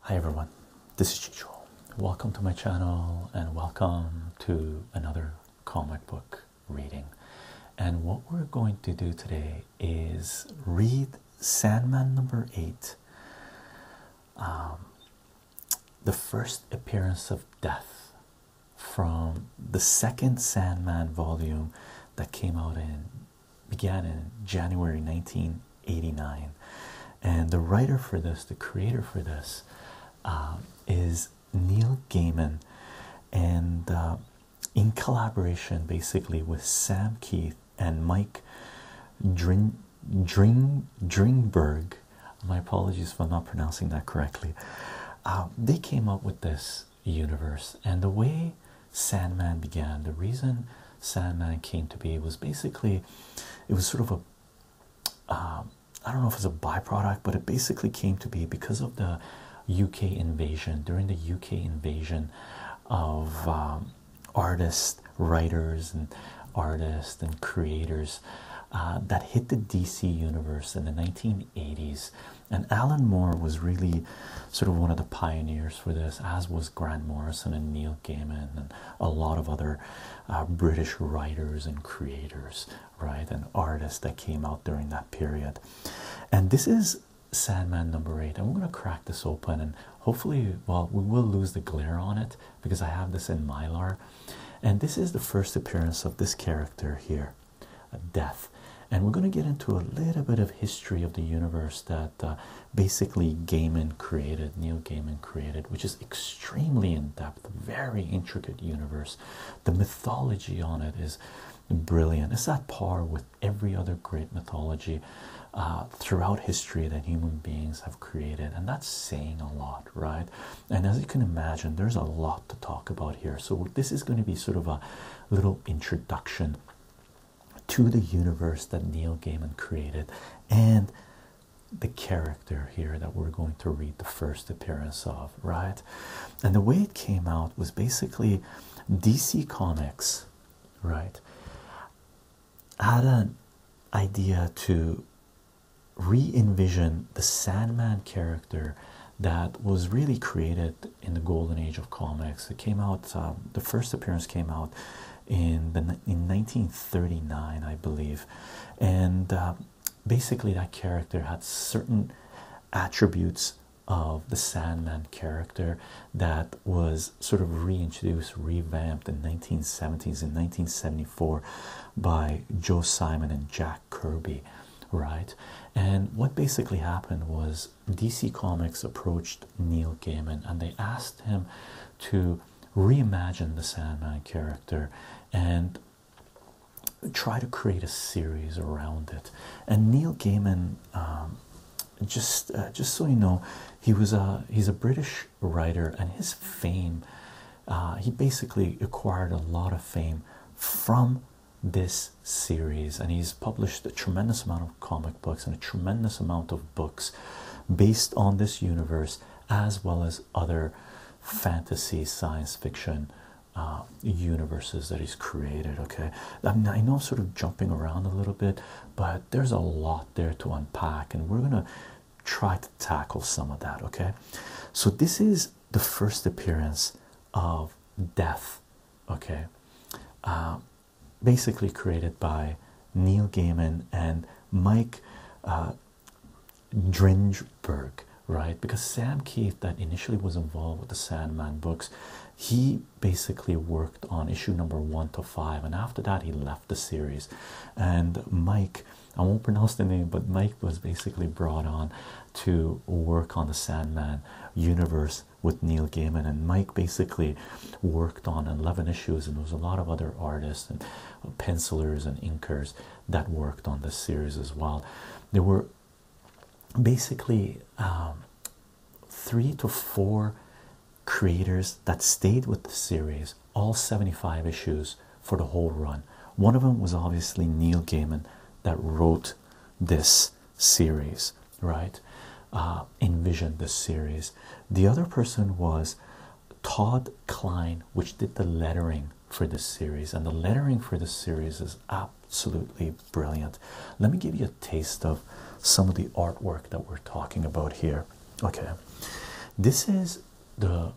Hi everyone, this is Chicho. Welcome to my channel and welcome to another comic book reading. And what we're going to do today is read Sandman number eight, um, the first appearance of death from the second Sandman volume that came out in began in January 1989. And the writer for this, the creator for this, uh, is Neil Gaiman, and uh, in collaboration basically with Sam Keith and Mike Dring, Dring, Dringberg. My apologies for not pronouncing that correctly. Uh, they came up with this universe, and the way Sandman began, the reason Sandman came to be was basically it was sort of a, um, don't know if it's a byproduct, but it basically came to be because of the UK invasion during the UK invasion of um, artists, writers, and artists and creators uh, that hit the DC universe in the 1980s. And Alan Moore was really sort of one of the pioneers for this, as was Grant Morrison and Neil Neil Gaiman and a lot of other uh, British writers and creators, right, and artists that came out during that period. And this is Sandman number eight. I'm going to crack this open and hopefully, well, we will lose the glare on it because I have this in mylar. And this is the first appearance of this character here, uh, Death. And we're going to get into a little bit of history of the universe that uh, basically Gaiman created, Neil Gaiman created, which is extremely in depth, very intricate universe. The mythology on it is brilliant. It's at par with every other great mythology uh, throughout history that human beings have created, and that's saying a lot, right? And as you can imagine, there's a lot to talk about here. So, this is going to be sort of a little introduction to the universe that Neil Gaiman created and the character here that we're going to read the first appearance of, right? And the way it came out was basically DC Comics, right? Had an idea to re envision the Sandman character that was really created in the golden age of comics. It came out, um, the first appearance came out in the in 1939 i believe and uh, basically that character had certain attributes of the sandman character that was sort of reintroduced revamped in 1970s in 1974 by joe simon and jack kirby right and what basically happened was dc comics approached neil gaiman and they asked him to reimagine the Sandman character and try to create a series around it. And Neil Gaiman, um, just uh, just so you know, he was a he's a British writer, and his fame, uh, he basically acquired a lot of fame from this series, and he's published a tremendous amount of comic books and a tremendous amount of books based on this universe as well as other fantasy science fiction uh, universes that he's created okay I, know I'm sort of jumping around a little bit but there's a lot there to unpack and we're gonna try to tackle some of that okay so this is the first appearance of death okay uh, basically created by Neil Gaiman and Mike uh, right? Because Sam Keith, that initially was involved with the Sandman books, he basically worked on issue number one to five, and after that, he left the series. And Mike, I won't pronounce the name, but Mike was basically brought on to work on the Sandman universe with Neil Gaiman, and Mike basically worked on 11 issues and there was a lot of other artists and pencillers and inkers that worked on this series as well there were basically um, three to four creators that stayed with the series all 75 issues for the whole run one of them was obviously neil gaiman that wrote this series right uh, envisioned this series the other person was Todd Klein, which did the lettering for this series, and the lettering for this series is absolutely brilliant. Let me give you a taste of some of the artwork that we're talking about here. Okay, this is the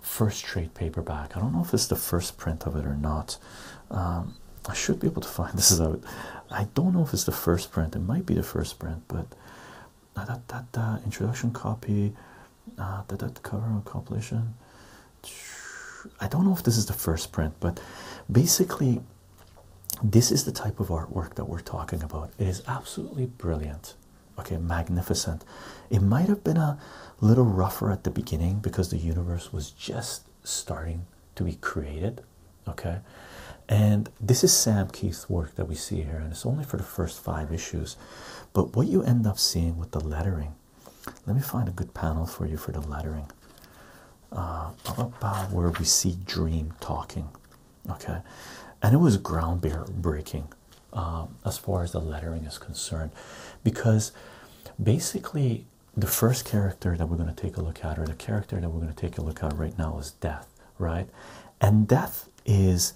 first trade paperback. I don't know if it's the first print of it or not. Um, I should be able to find this out. I don't know if it's the first print, it might be the first print, but that da, da, introduction copy uh, that that cover on compilation I don't know if this is the first print but basically this is the type of artwork that we're talking about it is absolutely brilliant okay magnificent it might have been a little rougher at the beginning because the universe was just starting to be created okay and this is sam keith's work that we see here and it's only for the first five issues but what you end up seeing with the lettering let me find a good panel for you for the lettering uh, about where we see dream talking okay and it was groundbreaking um, as far as the lettering is concerned because basically the first character that we're going to take a look at or the character that we're going to take a look at right now is death right? And death is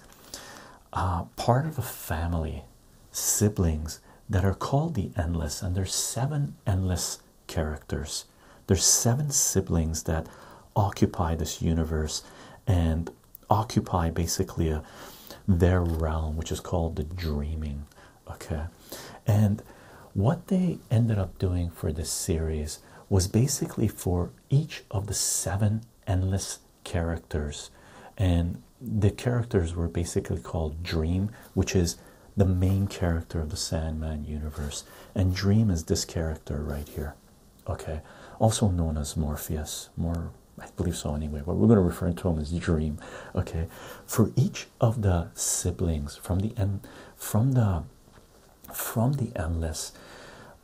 uh, part of a family, siblings that are called the endless, and there's seven endless characters. There's seven siblings that occupy this universe and occupy basically their realm, which is called the dreaming. Okay, and what they ended up doing for this series was basically for each of the seven endless characters, and the characters were basically called Dream, which is the main character of the Sandman universe, and Dream is this character right here, okay, also known as Morpheus, more. I believe so anyway, but we're going to refer to him as Dream. Okay. For each of the siblings from the end from the from the endless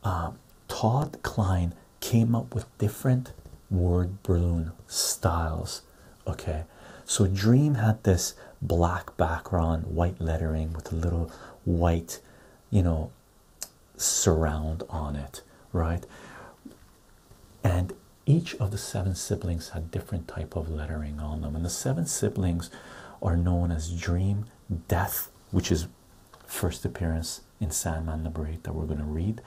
um, Todd Klein came up with different word balloon styles. Okay, so Dream had this black background, white lettering with a little white, you know, surround on it, right? And each of the seven siblings had different type of lettering on them, and the seven siblings are known as Dream, Death, which is first appearance in Sandman number eight that we're going to read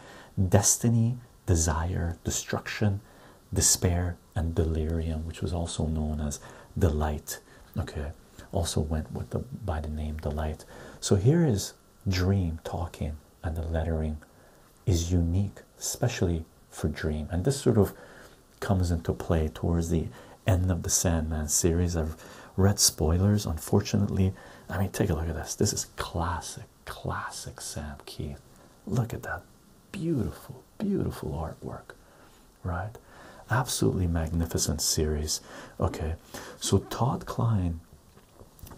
Destiny, Desire, Destruction, Despair, and Delirium, which was also known as delight. Okay, also went with the by the name delight. So here is Dream talking, and the lettering is unique, especially for Dream, and this sort of comes into play towards the end of the Sandman series. I've read spoilers, unfortunately. I mean, take a look at this. This is classic, classic Sam Keith. Look at that beautiful, beautiful artwork, right? Absolutely magnificent series. Okay, so Todd Klein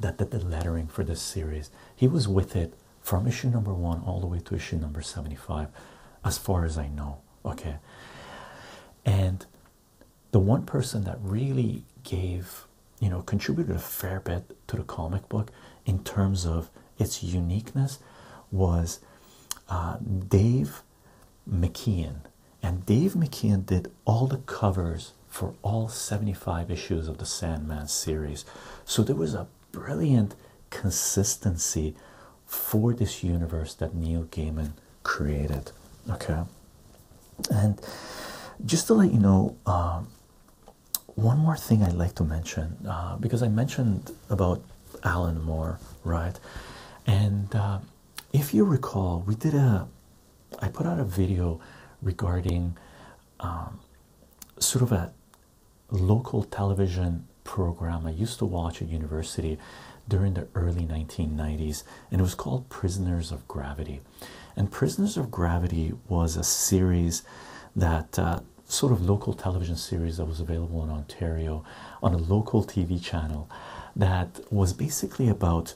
that did the lettering for this series, he was with it from issue number one all the way to issue number 75, as far as I know. Okay, and the one person that really gave you know contributed a fair bit to the comic book in terms of its uniqueness was uh, Dave McKeon, and Dave McKeon did all the covers for all 75 issues of the Sandman series, so there was a brilliant consistency for this universe that Neil Gaiman created. Okay, and just to let you know, um, one more thing I'd like to mention uh, because I mentioned about Alan Moore, right? And uh, if you recall, we did a I put out a video regarding um, sort of a local television program I used to watch at university during the early 1990s, and it was called Prisoners of Gravity. And Prisoners of Gravity was a series that uh, sort of local television series that was available in Ontario on a local TV channel that was basically about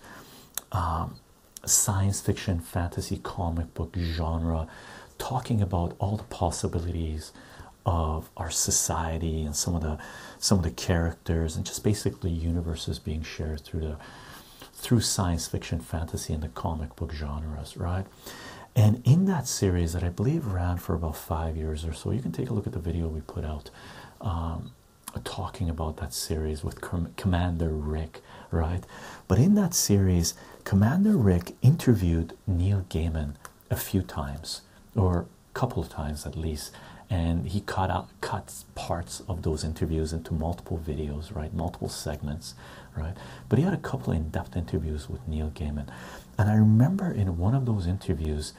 um, science fiction, fantasy, comic book genre, talking about all the possibilities of our society and some of the some of the characters and just basically universes being shared through the through science fiction, fantasy, and the comic book genres, right? And in that series that I believe ran for about five years or so, you can take a look at the video we put out um, talking about that series with Commander Rick, right? But in that series, Commander Rick interviewed Neil Gaiman a few times, or couple of times at least and he cut out cuts parts of those interviews into multiple videos right multiple segments right but he had a couple in-depth interviews with neil gaiman and i remember in one of those interviews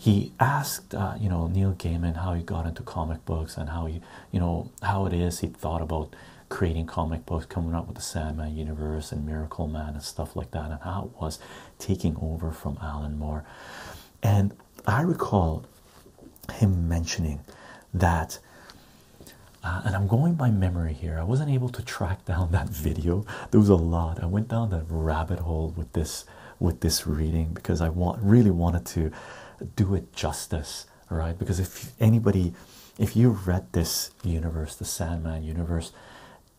he asked uh, you know neil gaiman how he got into comic books and how he you know how it is he thought about creating comic books coming up with the sandman universe and miracle man and stuff like that and how it was taking over from alan moore and I recall him mentioning that, uh, and I'm going by memory here, I wasn't able to track down that video. There was a lot. I went down that rabbit hole with this with this reading because I want really wanted to do it justice, right? Because if anybody, if you read this universe, the Sandman universe,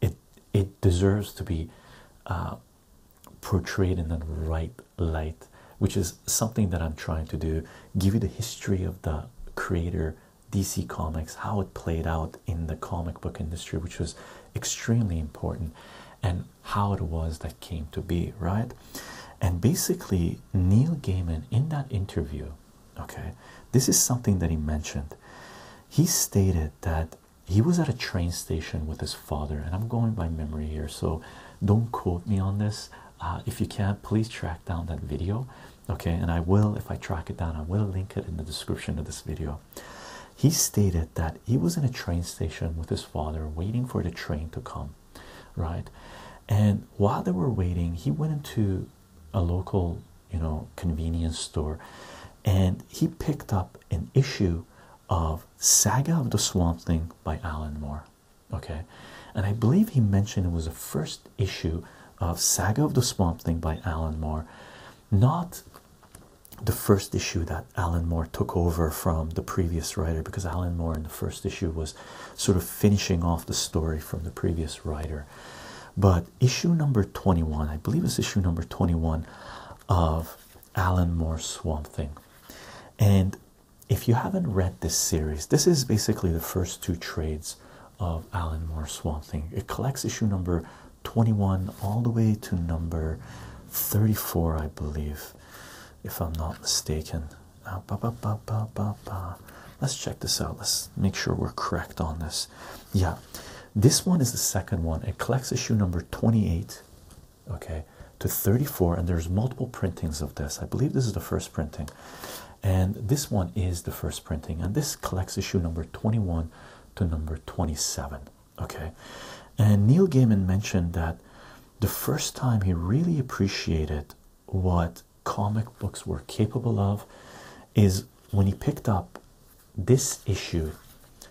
it it deserves to be uh, portrayed in the right light, which is something that I'm trying to do. Give you the history of the creator DC Comics, how it played out in the comic book industry, which was extremely important, and how it was that came to be, right? And basically, Neil Gaiman in that interview, okay, this is something that he mentioned. He stated that he was at a train station with his father, and I'm going by memory here, so don't quote me on this. Uh, if you can't, please track down that video, okay? And I will, if I track it down, I will link it in the description of this video. He stated that he was in a train station with his father, waiting for the train to come, right? And while they were waiting, he went into a local, you know, convenience store and he picked up an issue of Saga of the Swamp Thing by Alan Moore. Okay, and I believe he mentioned it was the first issue of Saga of the Swamp Thing by Alan Moore, not the first issue that Alan Moore took over from the previous writer, because Alan Moore in the first issue was sort of finishing off the story from the previous writer. But issue number 21, I believe it's issue number 21 of Alan Moore Swamp Thing. And if you haven't read this series, this is basically the first two trades of Alan Moore Swamp Thing. It collects issue number 21 all the way to number 34, I believe, if I'm not mistaken. Ah, Let's check this out. Let's make sure we're correct on this. Yeah, this one is the second one. It collects issue number 28 okay to 34 and there's multiple printings of this i believe this is the first printing and this one is the first printing and this collects issue number 21 to number 27 okay and neil gaiman mentioned that the first time he really appreciated what comic books were capable of is when he picked up this issue,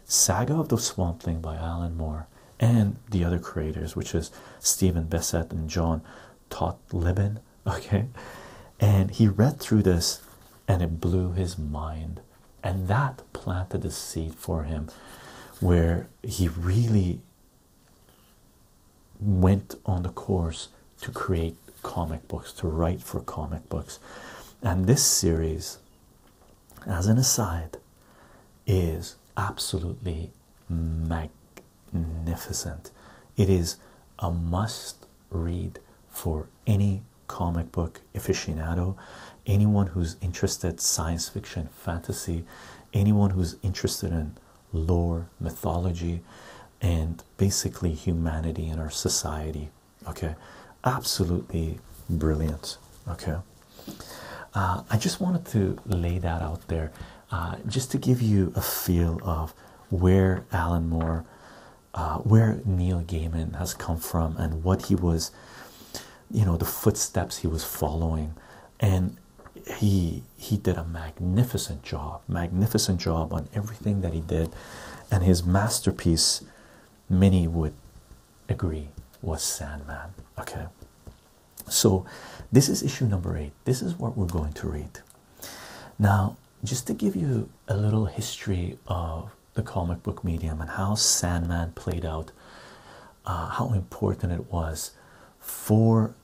Saga of the Swamp Thing by Alan Moore and the other creators, which is Stephen Bessette and John Totleben. Okay, and he read through this and it blew his mind, and that planted the seed for him where he really went on the course to create comic books, to write for comic books. And this series as an aside, is absolutely magnificent. It is a must read for any comic book aficionado, anyone who's interested science fiction, fantasy, anyone who's interested in lore, mythology, and basically humanity and our society okay absolutely brilliant okay uh, i just wanted to lay that out there uh, just to give you a feel of where alan moore uh, where neil gaiman has come from and what he was you know the footsteps he was following and he he did a magnificent job magnificent job on everything that he did and his masterpiece mini would agree was Sandman. Okay, so this is issue number eight. This is what we're going to read now, just to give you a little history of the comic book medium and how Sandman played out, uh, how important it was for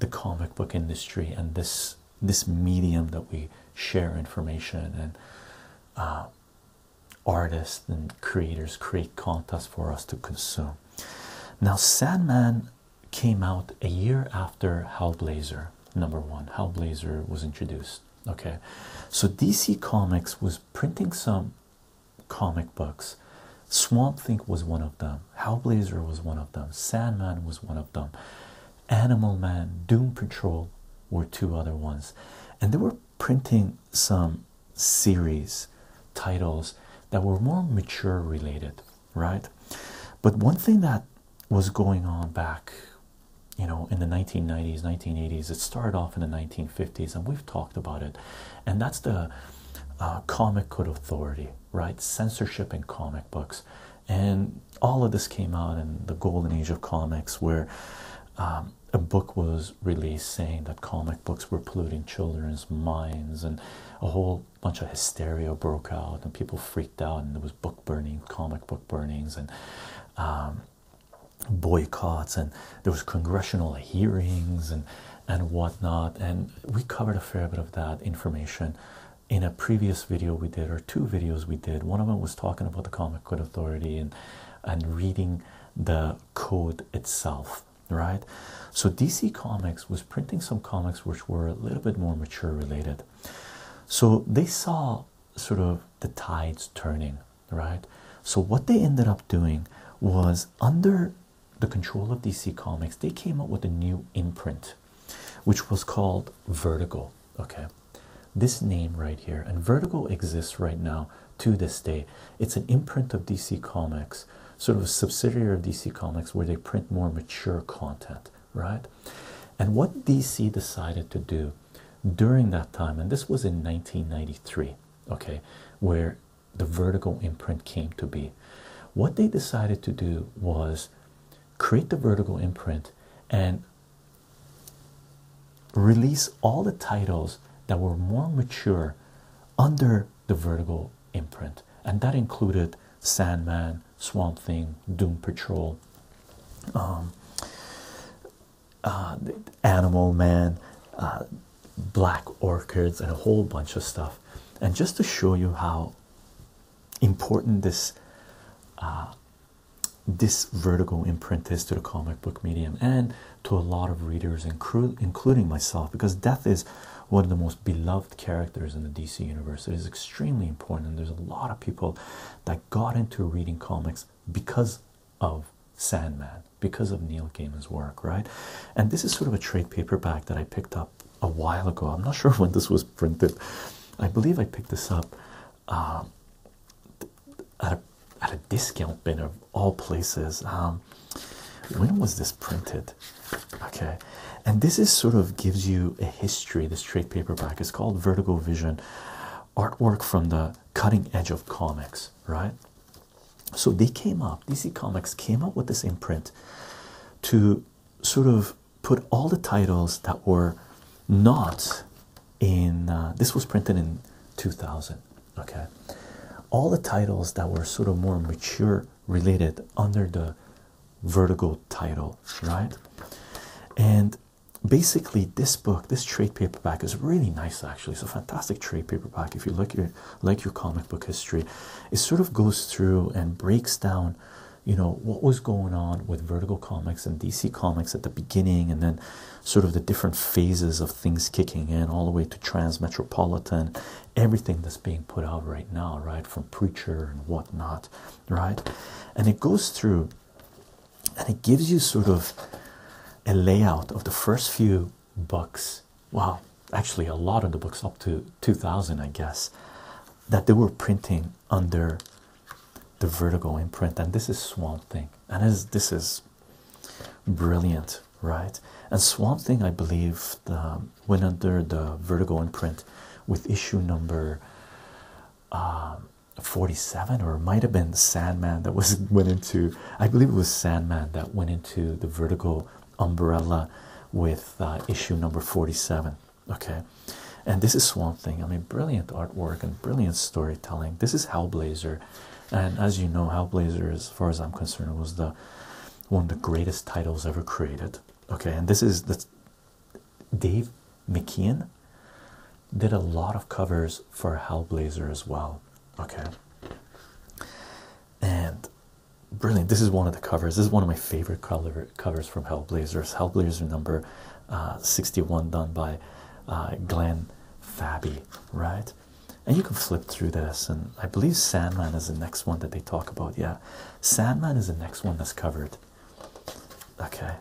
the comic book industry and this this medium that we share information and uh, artists and creators create content for us to consume. Now, Sandman came out a year after Hellblazer, number one. Hellblazer was introduced. Okay, so DC Comics was printing some comic books. Swamp Thing was one of them, Hellblazer was one of them, Sandman was one of them, Animal Man, Doom Patrol were two other ones, and there were printing some series titles that were more mature related, right? But one thing that was going on back, you know, in the 1990s, 1980s, it started off in the 1950s, and we've talked about it, and that's the uh, comic code authority, right? Censorship in comic books. And all of this came out in the golden age of comics, where um, a book was released saying that comic books were polluting children's minds, and a whole bunch of hysteria broke out, and people freaked out, and there was book burning, comic book burnings, and um, boycotts, and there was congressional hearings, and and whatnot. And we covered a fair bit of that information in a previous video we did, or two videos we did. One of them was talking about the Comic Code Authority and and reading the code itself, right? So DC Comics was printing some comics which were a little bit more mature related. So they saw sort of the tides turning, right? So what they ended up doing was under the control of DC Comics, they came up with a new imprint which was called Vertigo. Okay, this name right here, and Vertigo exists right now to this day. It's an imprint of DC Comics, sort of a subsidiary of DC Comics where they print more mature content, right? And what DC decided to do during that time, and this was in 1993, okay, where the Vertigo imprint came to be. What they decided to do was create the Vertigo imprint and release all the titles that were more mature under the Vertigo imprint, and that included Sandman, Swamp Thing, Doom Patrol, um, uh, Animal Man, uh, Black Orchids, and a whole bunch of stuff. And just to show you how important this uh, this vertical imprint is to the comic book medium and to a lot of readers, including myself, because Death is one of the most beloved characters in the DC universe. It is extremely important, and there's a lot of people that got into reading comics because of Sandman, because of Neil Gaiman's work, right? And this is sort of a trade paperback that I picked up a while ago. I'm not sure when this was printed. I believe I picked this up uh, at, a, at a discount bin of all places. Um, when was this printed? Okay, and this is sort of gives you a history. This trade paperback is called Vertigo Vision artwork from the cutting edge of comics, right? So they came up, DC Comics came up with this imprint to sort of put all the titles that were not in uh, this was printed in 2000 okay all the titles that were sort of more mature related under the vertical title right and basically this book this trade paperback is really nice actually it's a fantastic trade paperback if you like your like your comic book history it sort of goes through and breaks down you know what was going on with vertical comics and dc comics at the beginning and then sort of the different phases of things kicking in, all the way to trans metropolitan, everything that's being put out right now, right? From Preacher and whatnot, right? And it goes through and it gives you sort of a layout of the first few books. Wow, actually, a lot of the books up to 2000, I guess, that they were printing under the Vertigo imprint. And this is Swamp Thing, and this, this is Brilliant, right? And Swamp Thing, I believe, went under the Vertigo imprint with issue number uh, 47, or it might have been Sandman that was went into. I believe it was Sandman that went into the Vertigo umbrella with uh, issue number 47. Okay, and this is Swamp Thing. I mean, brilliant artwork and brilliant storytelling. This is Hellblazer and as you know, Hellblazer, as far as I'm concerned, was the one of the greatest titles ever created. Okay, and this is the Dave McKeon did a lot of covers for Hellblazer as well. Okay, and brilliant. This is one of the covers. This is one of my favorite cover covers from Hellblazer. Hellblazer number uh, 61, done by uh, Glenn Fabby right? And you can flip through this, and I believe Sandman is the next one that they talk about. Yeah, Sandman is the next one that's covered. Okay,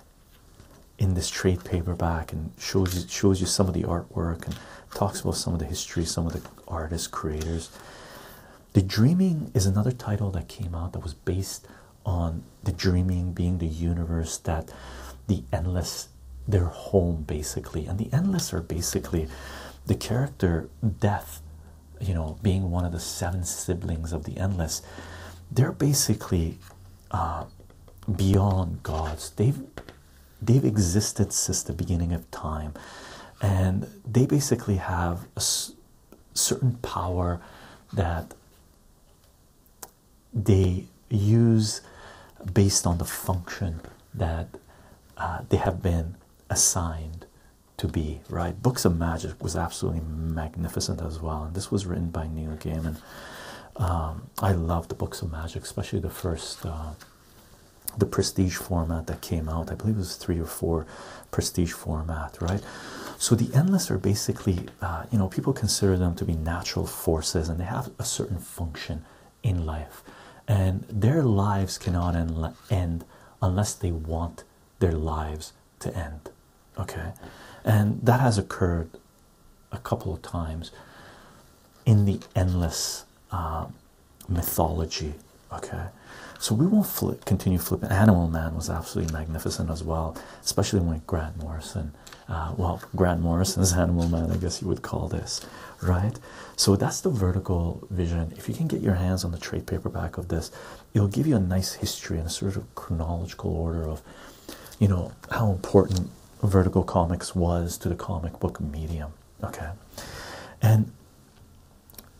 in this trade paperback, and shows you shows you some of the artwork and talks about some of the history, some of the artists, creators. The Dreaming is another title that came out that was based on the Dreaming being the universe that the endless their home basically and the endless are basically the character death you know being one of the seven siblings of the endless they're basically uh, beyond gods they've they've existed since the beginning of time and they basically have a certain power that they use based on the function that uh, they have been assigned to be right books of magic was absolutely magnificent as well and this was written by neil gaiman um, i love the books of magic especially the first uh, the prestige format that came out i believe it was three or four prestige format right so the endless are basically uh, you know people consider them to be natural forces and they have a certain function in life, and their lives cannot end unless they want their lives to end. Okay, and that has occurred a couple of times in the endless uh, mythology. Okay, so we won't continue flipping. Animal Man was absolutely magnificent as well, especially when Grant Morrison uh, well, Grant Morrison's Animal Man, I guess you would call this, right? So that's the vertical vision. If you can get your hands on the trade paperback of this, it'll give you a nice history in a sort of chronological order of, you know, how important vertical comics was to the comic book medium, okay? And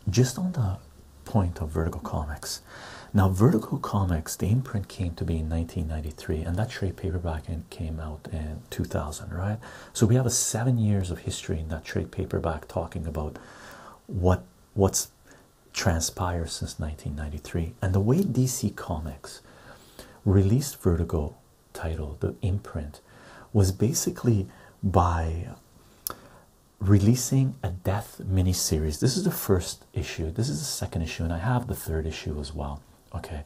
just on the point of vertical comics now vertical comics the imprint came to be in 1993 and that trade paperback came out in 2000, right? So we have a seven years of history in that trade paperback talking about what what's transpired since 1993 and the way DC Comics released Vertigo title, the imprint, was basically by releasing a death miniseries. This is the first issue. This is the second issue, and I have the third issue as well. Okay,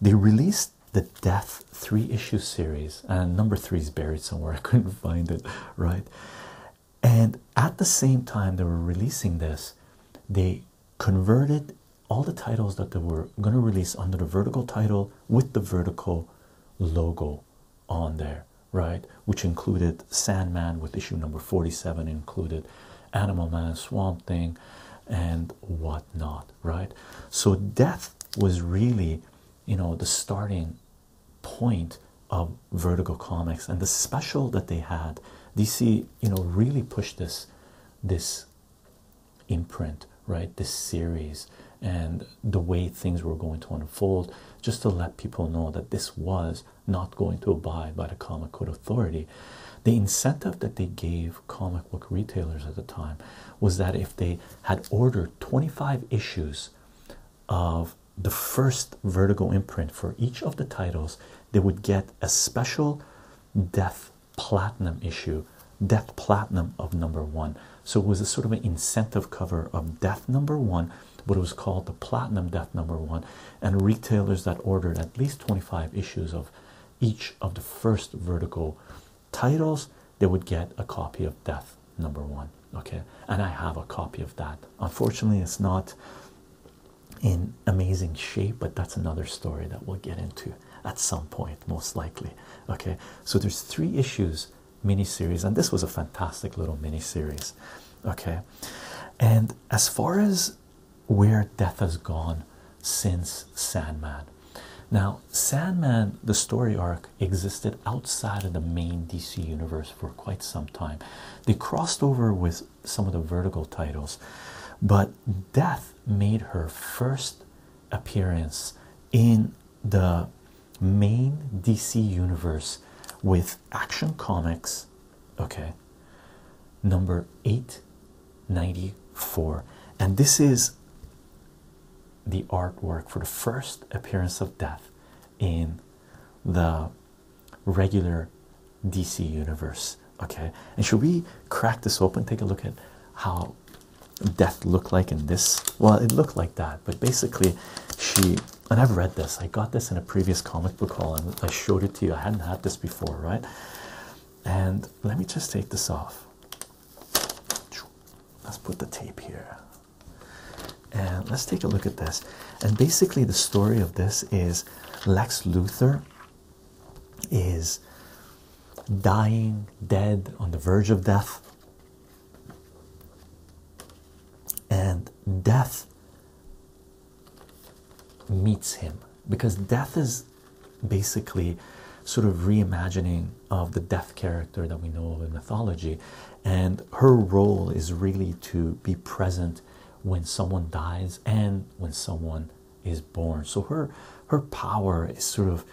they released the Death three issue series, and number three is buried somewhere. I couldn't find it, right? And at the same time, they were releasing this, they converted all the titles that they were going to release under the vertical title with the vertical logo on there, right? Which included Sandman with issue number 47, included Animal Man, Swamp Thing, and what not, right? So, death was really, you know, the starting point of Vertigo Comics, and the special that they had, DC, you know, really pushed this, this imprint, right? This series and the way things were going to unfold, just to let people know that this was not going to abide by the comic code authority. The incentive that they gave comic book retailers at the time was that if they had ordered 25 issues of the first Vertigo imprint for each of the titles, they would get a special Death Platinum issue, Death Platinum of number one. So it was a sort of an incentive cover of Death number one, but it was called the Platinum Death number one. And retailers that ordered at least 25 issues of each of the first vertical titles, they would get a copy of Death number one. Okay, and I have a copy of that. Unfortunately, it's not in amazing shape, but that's another story that we'll get into at some point, most likely. Okay, so there's three issues miniseries, and this was a fantastic little miniseries. Okay, and as far as where death has gone since Sandman. Now, Sandman, the story arc, existed outside of the main DC universe for quite some time. They crossed over with some of the vertical titles, but Death made her first appearance in the main DC universe with Action Comics, okay, number 894. And this is the artwork for the first appearance of Death in the regular DC universe. Okay, and should we crack this open? Take a look at how Death looked like in this. Well, it looked like that, but basically, she and I've read this. I got this in a previous comic book haul, and I showed it to you. I hadn't had this before, right? And let me just take this off. Let's put the tape here. And let's take a look at this. And basically, the story of this is Lex Luthor is dying, dead, on the verge of death. And death meets him because death is basically sort of reimagining of the death character that we know of in mythology and her role is really to be present when someone dies and when someone is born so her her power is sort of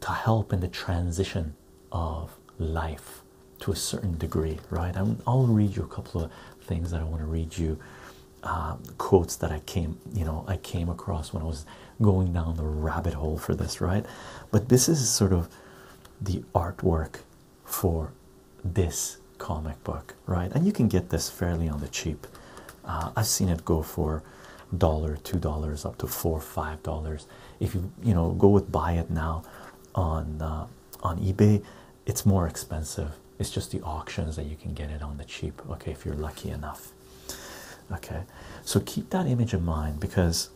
to help in the transition of life to a certain degree right i i'll read you a couple of things that i want to read you um, quotes that I came, you know, I came across when I was going down the rabbit hole for this, right? But this is sort of the artwork for this comic book, right? And you can get this fairly on the cheap. Uh, I've seen it go for dollar, two dollars, up to four, five dollars. If you you know go with buy it now on uh, on eBay, it's more expensive it's just the auctions that you can get it on the cheap okay if you're lucky enough okay so keep that image in mind because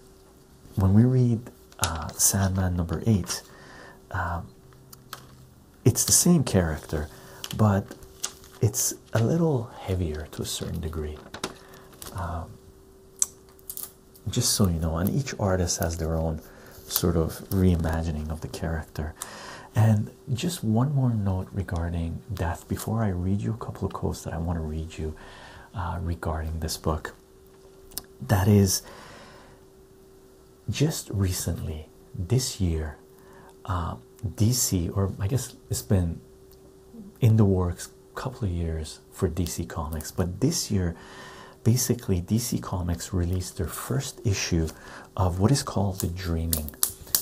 when we read uh, sandman number eight um, it's the same character but it's a little heavier to a certain degree um, just so you know and each artist has their own sort of reimagining of the character and just one more note regarding death before I read you a couple of quotes that I want to read you uh, regarding this book. That is, just recently this year, uh, DC, or I guess it's been in the works a couple of years for DC Comics, but this year, basically, DC Comics released their first issue of what is called the dreaming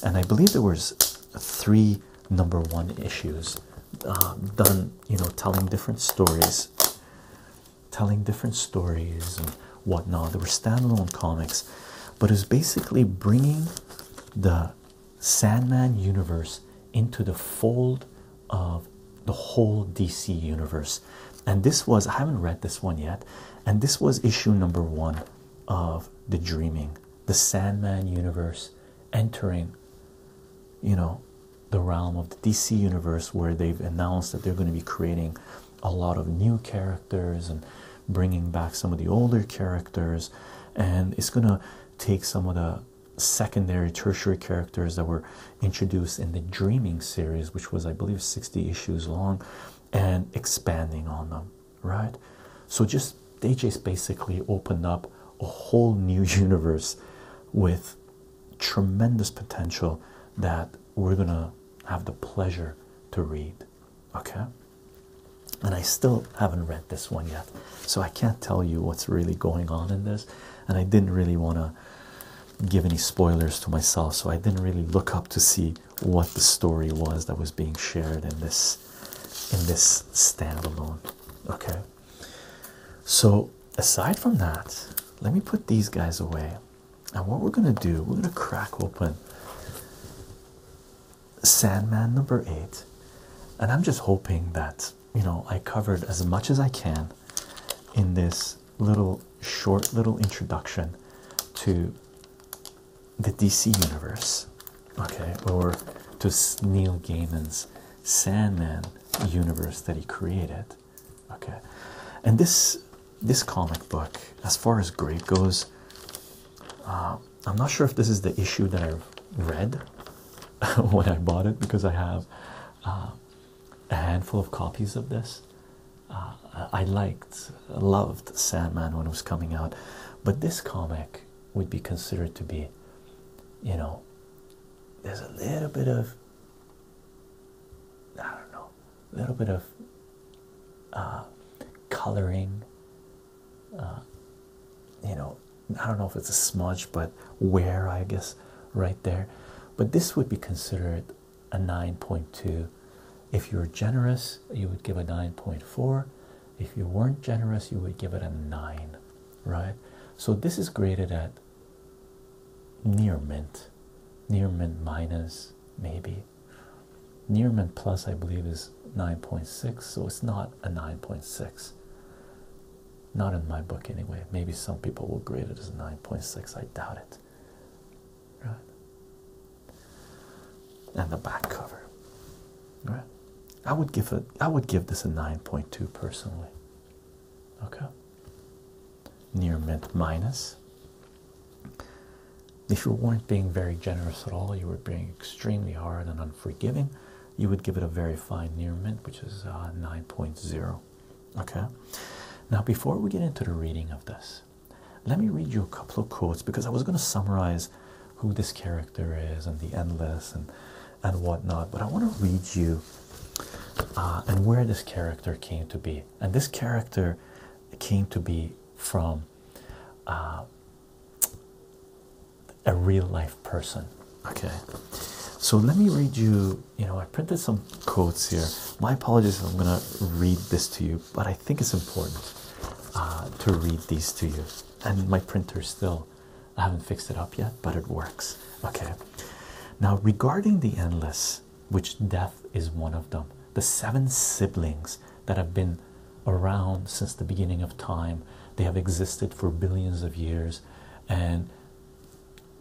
and i believe there was three number one issues uh, done you know telling different stories telling different stories and whatnot they were standalone comics but it was basically bringing the sandman universe into the fold of the whole dc universe and this was i haven't read this one yet and this was issue number one of the dreaming, the Sandman universe entering, you know, the realm of the DC universe where they've announced that they're going to be creating a lot of new characters and bringing back some of the older characters, and it's going to take some of the secondary, tertiary characters that were introduced in the Dreaming series, which was, I believe, 60 issues long, and expanding on them right? So just they just basically opened up a whole new universe with tremendous potential that we're gonna have the pleasure to read. Okay. And I still haven't read this one yet, so I can't tell you what's really going on in this. And I didn't really want to give any spoilers to myself, so I didn't really look up to see what the story was that was being shared in this in this standalone okay so aside from that let me put these guys away Now what we're gonna do we're gonna crack open sandman number eight and i'm just hoping that you know i covered as much as i can in this little short little introduction to the DC universe, okay, or to Neil Gaiman's Sandman universe that he created, okay. And this this comic book, as far as great goes, uh, I'm not sure if this is the issue that I read when I bought it because I have uh, a handful of copies of this. I liked, loved Sandman when it was coming out, but this comic would be considered to be, you know, there's a little bit of, I don't know, a little bit of uh, coloring, uh, you know, I don't know if it's a smudge, but wear, I guess, right there. But this would be considered a 9.2 if you were generous, you would give a 9.4. If you weren't generous, you would give it a 9, right? So this is graded at near mint, near mint minus, maybe. Near mint plus, I believe, is 9.6, so it's not a 9.6. Not in my book, anyway. Maybe some people will grade it as 9.6, I doubt it right? And the back cover, right? I would give it. would give this a nine point two personally. Okay. Near mint minus. If you weren't being very generous at all, you were being extremely hard and unforgiving, you would give it a very fine near mint, which is uh, 9.0. Okay, now before we get into the reading of this, let me read you a couple of quotes because I was going to summarize who this character is and the endless and and whatnot, but I want to read you uh, and where this character came to be. And this character came to be from uh, a real life person. Okay, so let me read you. You know, I printed some quotes here. My apologies I'm gonna read this to you but I think it's important uh, to read these to you. And my printer still, I haven't fixed it up yet, but it works. Okay. Now, regarding the endless, which death is one of them, the seven siblings that have been around since the beginning of time, they have existed for billions of years, and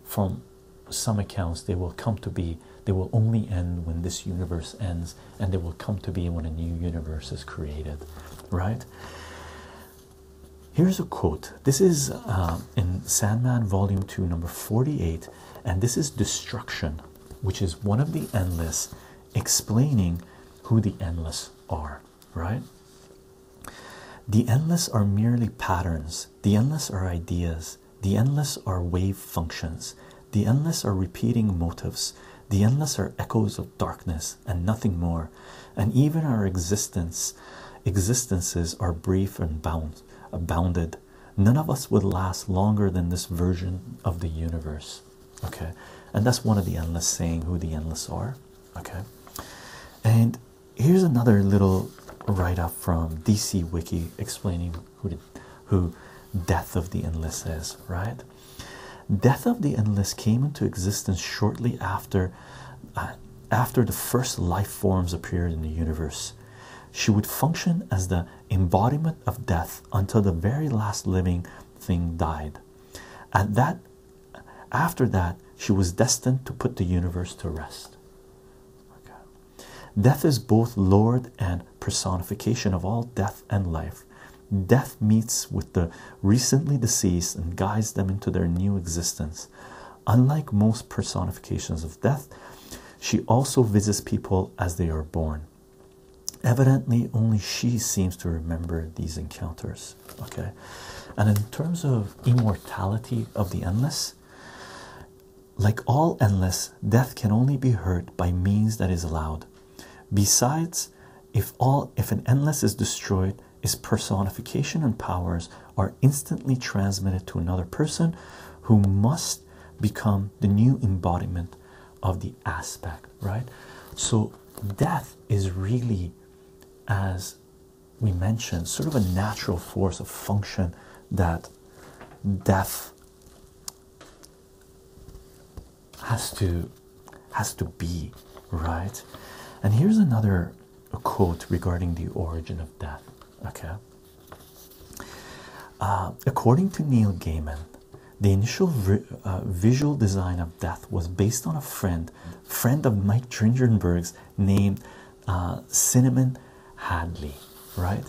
from some accounts, they will come to be they will only end when this universe ends, and they will come to be when a new universe is created, right? Here's a quote. This is um, in Sandman Volume 2, number 48, and this is Destruction, which is one of the endless explaining who the endless are, right? The endless are merely patterns, the endless are ideas, the endless are wave functions, the endless are repeating motives. the endless are echoes of darkness and nothing more, and even our existence existences are brief and bound bounded. None of us would last longer than this version of the universe. Okay. And that's one of the endless saying who the endless are. Okay. And here's another little write up from DC Wiki explaining who the, who Death of the Endless is, right? Death of the Endless came into existence shortly after uh, after the first life forms appeared in the universe. She would function as the embodiment of death until the very last living thing died. and that after that, she was destined to put the universe to rest. Death is both Lord and personification of all death and life. Death meets with the recently deceased and guides them into their new existence. Unlike most personifications of death, she also visits people as they are born. Evidently, only she seems to remember these encounters. Okay, and in terms of immortality of the endless, like all endless, death can only be hurt by means that is allowed. Besides, if all if an endless is destroyed, its personification and powers are instantly transmitted to another person who must become the new embodiment of the aspect, right? So death is really as we mentioned, sort of a natural force, a function that death has to has to be right and here's another quote regarding the origin of death okay uh, according to neil gaiman the initial uh, visual design of death was based on a friend friend of mike dringenberg's named uh, cinnamon hadley right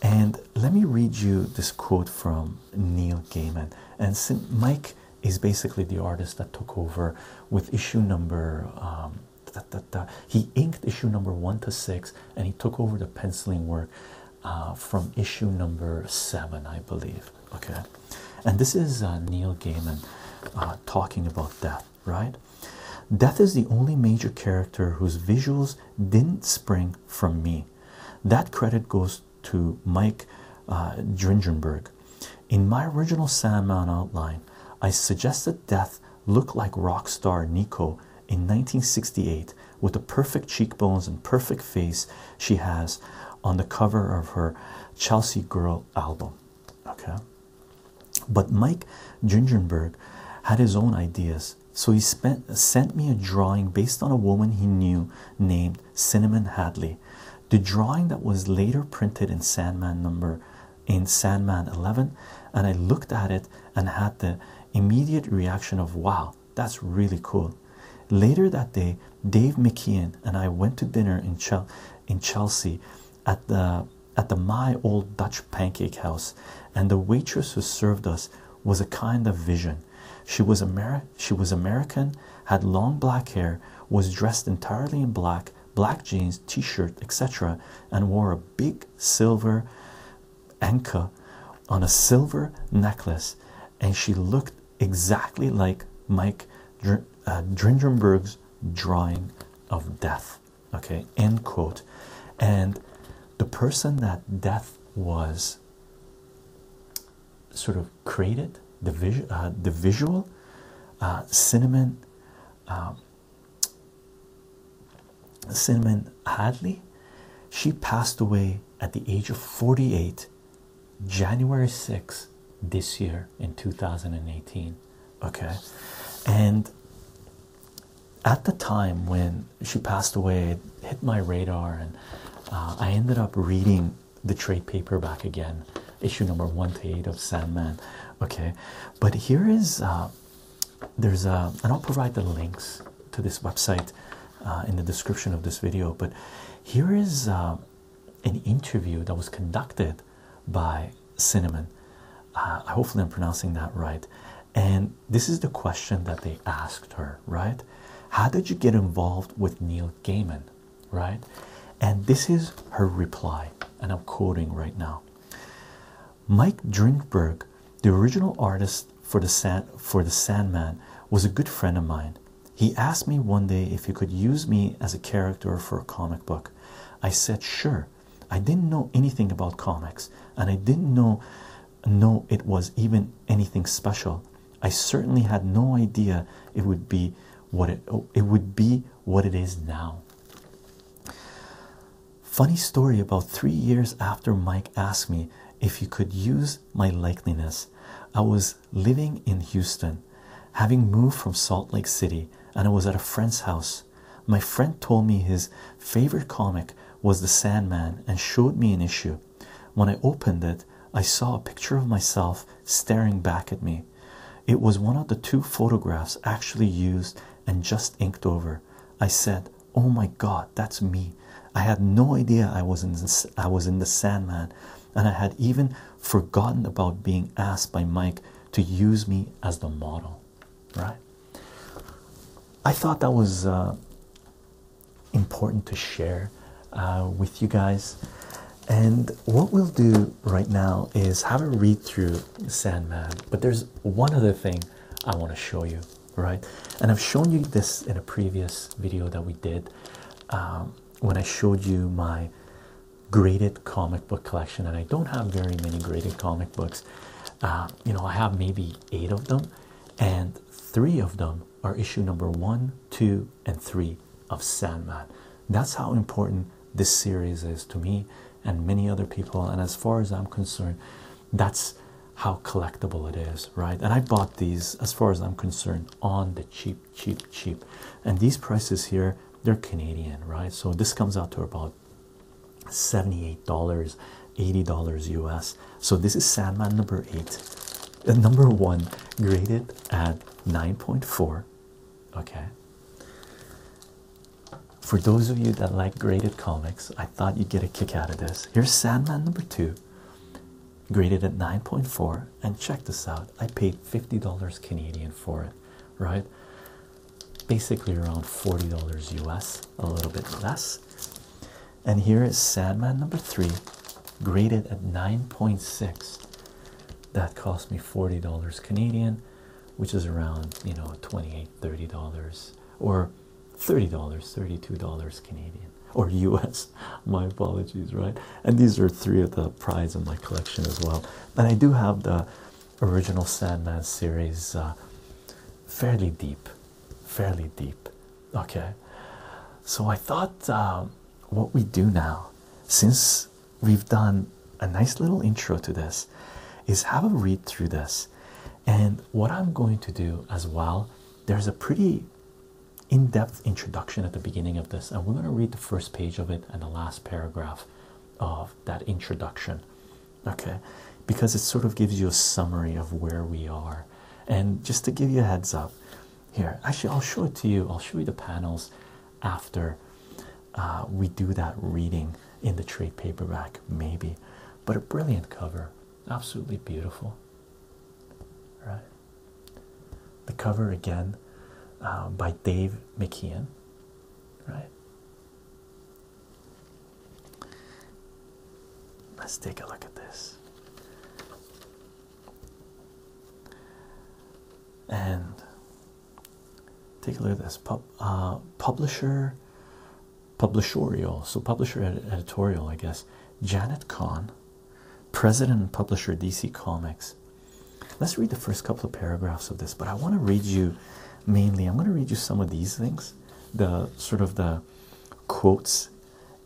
and let me read you this quote from Neil Gaiman. And Mike is basically the artist that took over with issue number. Um, he inked issue number one to six, and he took over the penciling work uh, from issue number seven, I believe. Okay, and this is uh, Neil Gaiman uh, talking about death. Right, death is the only major character whose visuals didn't spring from me. That credit goes to Mike uh, Dringenberg. In my original Sandman outline, I suggested Death look like rock star Nico in 1968 with the perfect cheekbones and perfect face she has on the cover of her Chelsea Girl album. Okay, but Mike Gingenberg had his own ideas so he spent, sent me a drawing based on a woman he knew named Cinnamon Hadley. The drawing that was later printed in Sandman number in Sandman 11, and I looked at it and had the immediate reaction of wow, that's really cool. Later that day, Dave McKeon and I went to dinner in Chel in Chelsea at the at the my old Dutch pancake house, and the waitress who served us was a kind of vision. She was, Ameri she was American, had long black hair, was dressed entirely in black, black jeans, t shirt, etc., and wore a big silver anka on a silver necklace. And she looked exactly like Mike Dr uh, drawing of death. Okay, end quote. And the person that death was sort of created the visual, uh, the visual uh, cinnamon, um, cinnamon Hadley. She passed away at the age of 48, January 6 this year in 2018. Okay, and at the time when she passed away, it hit my radar, and uh, I ended up reading the trade paper back again, issue number one to eight of Sandman. Okay, but here is uh, there's a, and I'll provide the links to this website uh, in the description of this video. But here is an interview that was conducted by Cinnamon. hopefully, I'm pronouncing that right. And this is the question that they asked her, right? How did you get involved with Neil Gaiman, right? And this is her reply, and I'm quoting right now. Mike Drinkberg, the original artist for the Sand for the Sandman, was a good friend of mine. He asked me one day if he could use me as a character for a comic book. I said sure. I didn't know anything about comics, and I didn't know no, it was even anything special. I certainly had no idea it would be what it it would be what it is now. Funny story about three years after Mike asked me if he could use my likeness, I was living in Houston, having moved from Salt Lake City, and I was at a friend's house. My friend told me his favorite comic was The Sandman and showed me an issue. When I opened it, I saw a picture of myself staring back at me. It was one of the two photographs actually used and just inked over. I said, "Oh my God, that's me." I had no idea I was in I was in the Sandman, and I had even forgotten about being asked by Mike to use me as the model. Right? I thought that was uh, important to share uh, with you guys. And what we'll do right now is have a read through Sandman, but there's one other thing I want to show you, right? And I've shown you this in a previous video that we did um, when I showed you my graded comic book collection, and I don't have very many graded comic books. Uh, you know, I have maybe eight of them, and three of them are issue number one, two, and three of Sandman. That's how important this series is to me and many other people. And as far as I'm concerned, that's how collectible it is, right? And I bought these, as far as I'm concerned, on the cheap, cheap, cheap. And these prices here, they're Canadian, right? So this comes out to about $78 $80 US. So this is Sandman number eight. Uh, number one graded at 9.4. Okay. For those of you that like graded comics, I thought you'd get a kick out of this. Here's Sandman number two, graded at 9.4. And check this out I paid $50 Canadian for it, right? Basically around $40 US, a little bit less. And here is Sandman number three, graded at 9.6. That cost me $40 Canadian, which is around, you know, $28, $30 or $30, $32 Canadian or US. My apologies, right? And these are three of the prize in my collection as well. And I do have the original Sandman series uh, fairly deep fairly deep. Okay, so I thought um, what we do now, since we've done a nice little intro to this, is have a read through this. And what I'm going to do as well, there's a pretty in depth introduction at the beginning of this, and we're going to read the first page of it and the last paragraph of that introduction. Okay, because it sort of gives you a summary of where we are and just to give you a heads up here, actually, I'll show it to you. I'll show you the panels after uh, we do that reading in the trade paperback, maybe. But a brilliant cover, absolutely beautiful. Right? The cover again uh, by Dave McKeon, right? Let's take a look at this. And take a look at this uh, publisher, publishorial, so publisher editorial, I guess. Janet Kahn, president and publisher DC Comics. Let's read the first couple of paragraphs of this, but I want to read you mainly, I'm going to read you some of these things, the sort of the quotes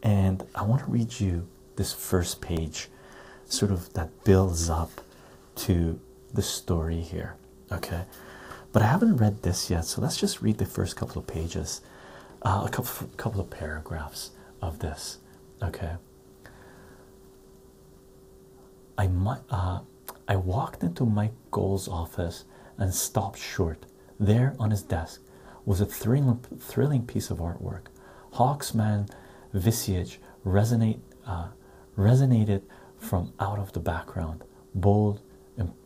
and I want to read you this first page, sort of that builds up to the story here. Okay, but I haven't read this yet, so let's just read the first couple of pages, uh, a couple couple of paragraphs of this. Okay. I uh, I walked into Mike Gold's office and stopped short there on his desk was a thrilling, thrilling piece of artwork. Hawksman visage uh, resonated from out of the background, bold, imp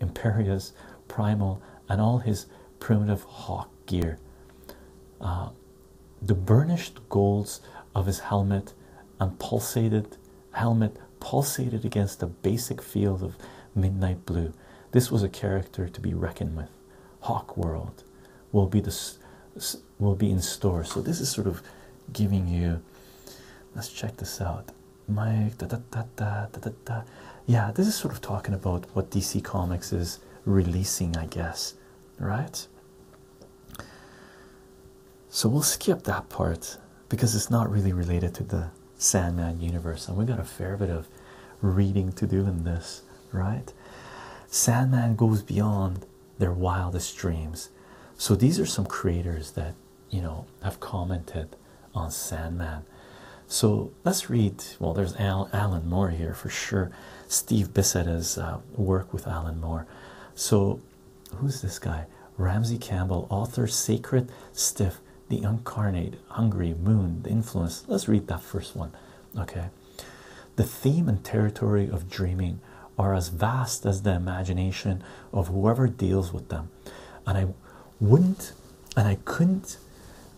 imperious, primal, and all his primitive hawk gear. Uh, the burnished golds of his helmet and pulsated helmet pulsated against the basic field of midnight blue this was a character to be reckoned with. Hawk World will be this will be in store. So this is sort of giving you. Let's check this out. Mike, yeah, this is sort of talking about what DC Comics is releasing, I guess, right? So we'll skip that part because it's not really related to the Sandman universe, and we got a fair bit of reading to do in this, right? Sandman goes beyond their wildest dreams. So these are some creators that you know have commented on Sandman. So let's read. Well, there's Alan Moore here for sure. Steve Bissett uh, work with Alan Moore. So who's this guy? Ramsey Campbell, author, secret Stiff the incarnate, hungry, moon, the influence. Let's read that first one. Okay. The theme and territory of dreaming are as vast as the imagination of whoever deals with them. And I wouldn't and I couldn't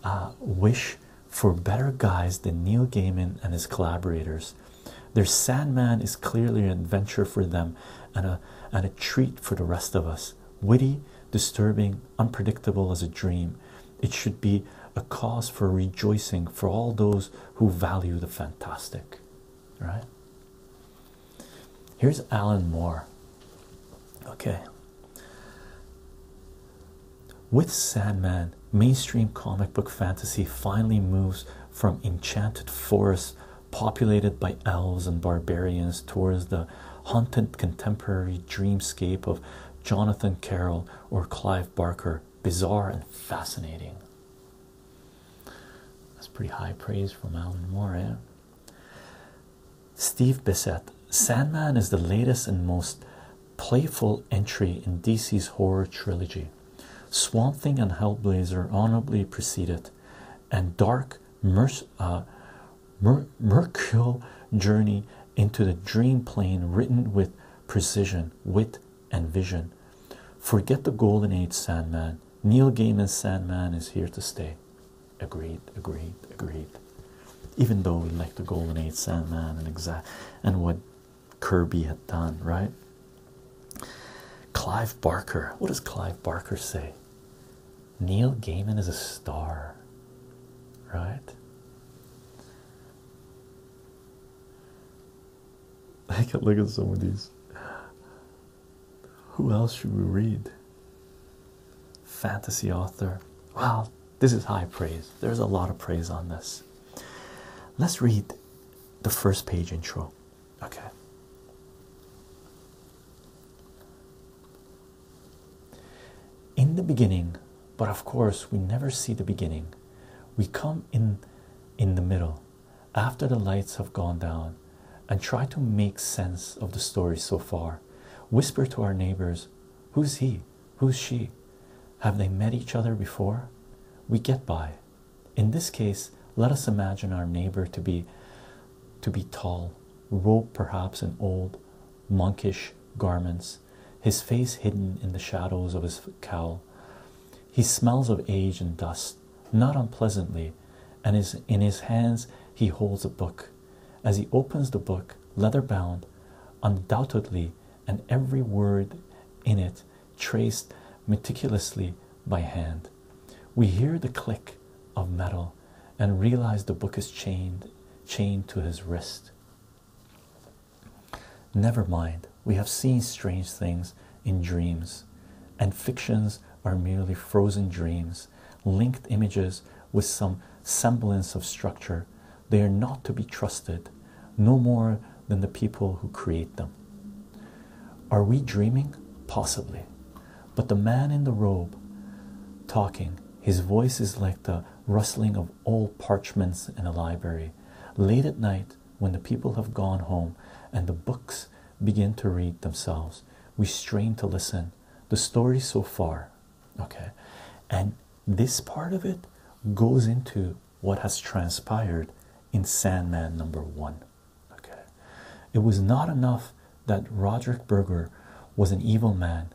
uh, wish for better guys than Neil Gaiman and his collaborators. Their Sandman is clearly an adventure for them and a, and a treat for the rest of us. Witty, disturbing, unpredictable as a dream. It should be a cause for rejoicing for all those who value the fantastic. Right? Here's Alan Moore. Okay. With Sandman, mainstream comic book fantasy finally moves from enchanted forests populated by elves and barbarians towards the haunted contemporary dreamscape of Jonathan Carroll or Clive Barker. Bizarre and fascinating. That's pretty high praise from Alan Moore, eh? Steve Bissett. Sandman is the latest and most playful entry in DC's horror trilogy. Swamp Thing and Hellblazer honorably preceded, and Dark merc uh, mer mercurial journey into the dream plane written with precision, wit, and vision. Forget the golden age, Sandman. Neil Gaiman's Sandman is here to stay. Agreed, agreed, agreed. Even though we like the golden age Sandman and what Kirby had done, right? Clive Barker, what does Clive Barker say? Neil Gaiman is a star, right? look at some of these. Who else should we read? Fantasy author. Wow, this is high praise. There's a lot of praise on this. Let's read the first page intro. Okay in the beginning, but of course we never see the beginning. We come in in the middle after the lights have gone down and try to make sense of the story so far. Whisper to our neighbors, who's he? Who's she? Have they met each other before? We get by. In this case, let us imagine our neighbor to be to be tall robed perhaps in old monkish garments, his face hidden in the shadows of his cowl. He smells of age and dust, not unpleasantly, and is in his hands he holds a book. As he opens the book, leather bound, undoubtedly, and every word in it traced meticulously by hand, we hear the click of metal and realized the book is chained chained to his wrist. Never mind, we have seen strange things in dreams, and fictions are merely frozen dreams, linked images with some semblance of structure. They are not to be trusted, no more than the people who create them. Are we dreaming? Possibly. But the man in the robe talking, his voice is like the rustling of old parchments in a library. Late at night, when the people have gone home and the books begin to read themselves, we strain to listen. The story so far, okay, and this part of it goes into what has transpired in Sandman number one. Okay, it was not enough that Roderick Burger was an evil man.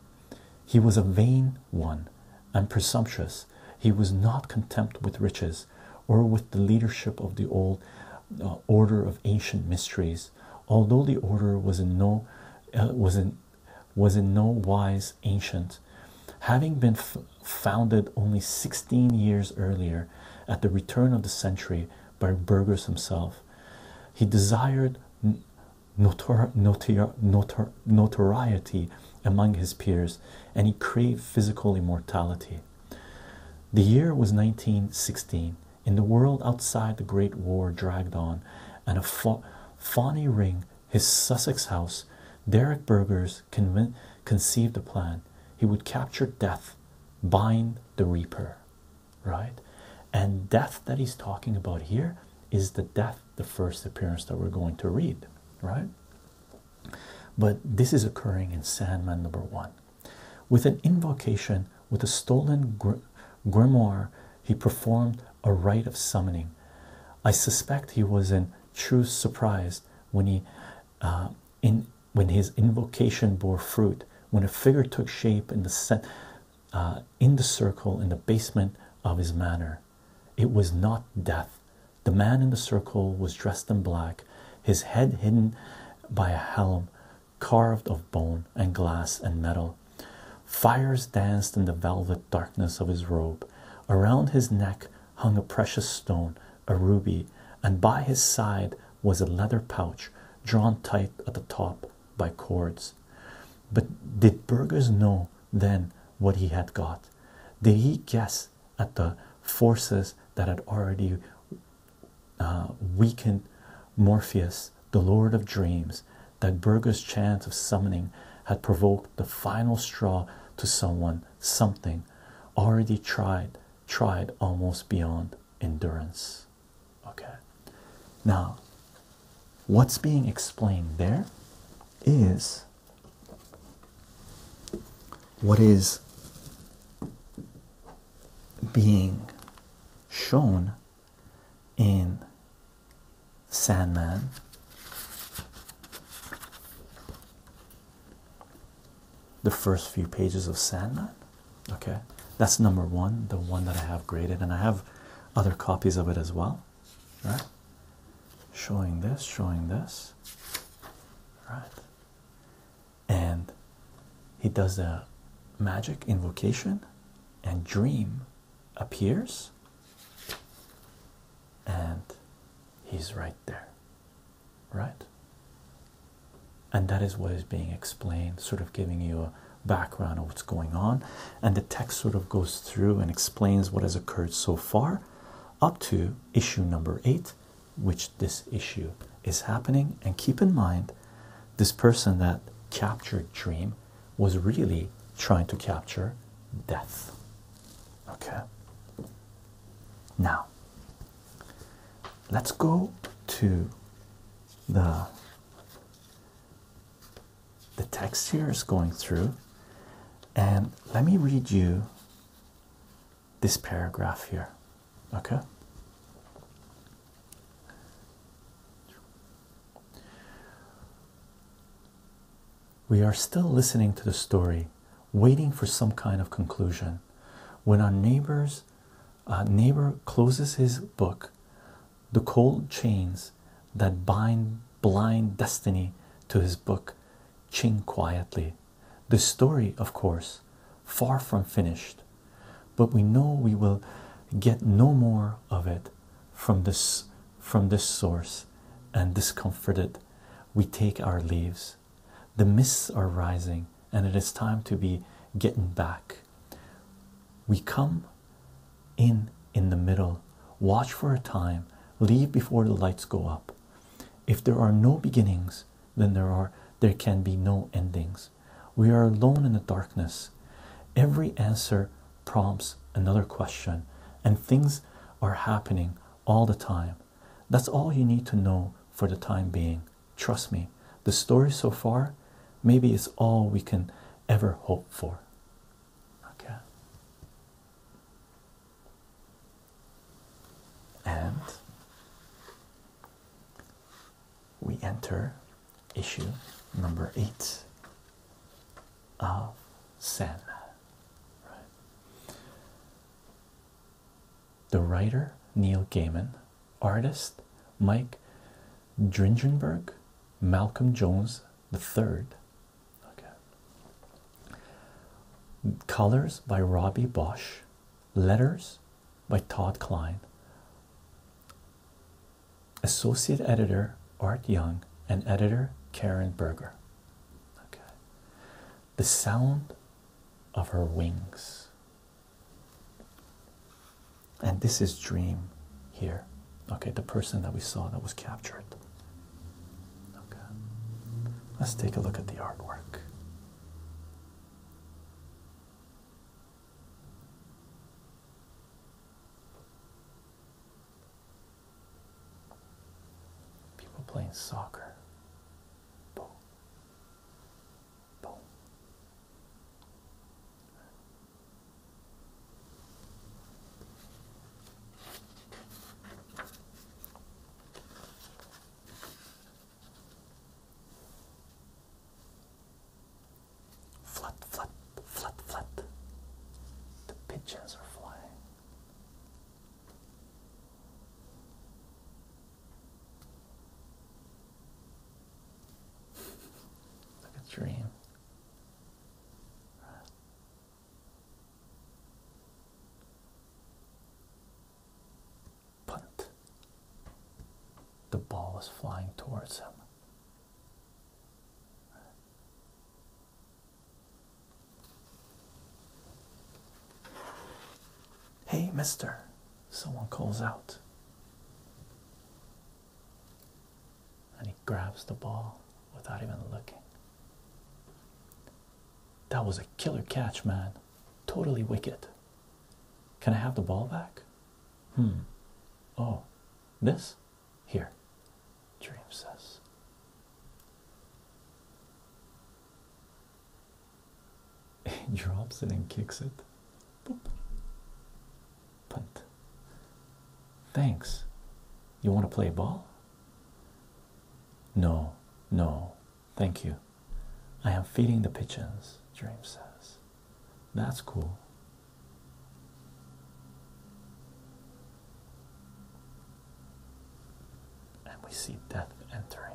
He was a vain one and presumptuous. He was not content with riches or with the leadership of the old uh, order of ancient mysteries, although the order was in no uh, was in no wise ancient, having been founded only 16 years earlier at the return of the century by Burgers himself. He desired notor notoriety among his peers and he craved physical immortality. The year was 1916. In the world outside, the Great War dragged on, and a Fawney ring, his Sussex house, Derek Burgers conceived a plan. He would capture death, bind the Reaper right? And death that he's talking about here is the death, the first appearance that we're going to read, right? But this is occurring in Sandman number one. With an invocation with a stolen grimoire, he performed a rite of summoning. I suspect he was in true surprise when he, uh, in when his invocation bore fruit, when a figure took shape in the uh, in the circle in the basement of his manor. It was not death. The man in the circle was dressed in black, his head hidden by a helm carved of bone and glass and metal. Fires danced in the velvet darkness of his robe. Around his neck hung a precious stone, a ruby, and by his side was a leather pouch drawn tight at the top by cords. But did Burgers know then what he had got? Did he guess at the forces that had already uh, weakened Morpheus, the Lord of Dreams, that Burger's chant of summoning had provoked the final straw to someone, something already tried, tried almost beyond endurance? Okay, now what's being explained there is what is being shown in Sandman the first few pages of Sandman okay that's number one the one that I have graded and I have other copies of it as well, right? Showing this, showing this, right? And he does a magic invocation, and dream appears, and he's right there, right? And that is what is being explained, sort of giving you a background of what's going on, and the text sort of goes through and explains what has occurred so far up to issue number eight, which this issue is happening. And keep in mind, this person that captured Dream was really trying to capture death. Okay, now let's go to the the text here is going through. And let me read you this paragraph here. Okay. We are still listening to the story, waiting for some kind of conclusion. When our neighbor's uh, neighbor closes his book, the cold chains that bind blind destiny to his book ching quietly the story of course far from finished but we know we will get no more of it from this from this source and discomforted we take our leaves the mists are rising and it is time to be getting back we come in in the middle, watch for a time, leave before the lights go up. If there are no beginnings, then there are there can be no endings. We are alone in the darkness. Every answer prompts another question, and things are happening all the time. That's all you need to know for the time being. Trust me, the story so far, maybe it's all we can ever hope for. Okay. And we enter issue number eight of Sandman. The writer Neil Gaiman, artist Mike Dringenberg, Malcolm Jones the Third. Okay. Colors by Robbie Bosch, letters by Todd Klein. Associate editor Art Young and editor Karen Berger. Okay. The sound of her wings and this is dream here okay the person that we saw that was captured okay let's take a look at the artwork people playing soccer Flut, flut, flut, flut. The pigeons are flying. Like a dream. Right. The ball is flying towards him. Hey, mister, someone calls out. And he grabs the ball without even looking. That was a killer catch, man. Totally wicked. Can I have the ball back? Hmm. Oh, this? Here, Dream says. He drops it and kicks it. Thanks. You want to play ball? No, no, thank you. I am feeding the pigeons, Dream says. That's cool. And we see death entering.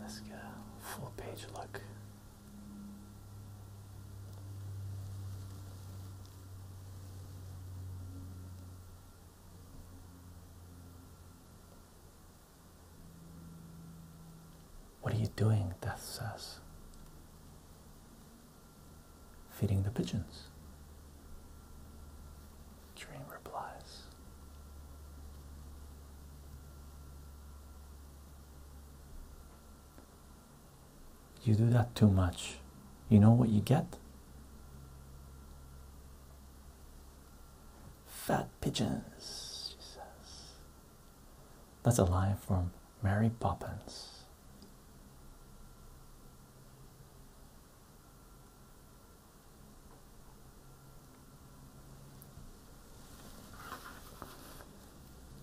Let's go a full page look. What are you doing? Death says. Feeding the pigeons. Dream replies. You do that too much. You know what you get? Fat pigeons, she says. That's a line from Mary Poppins.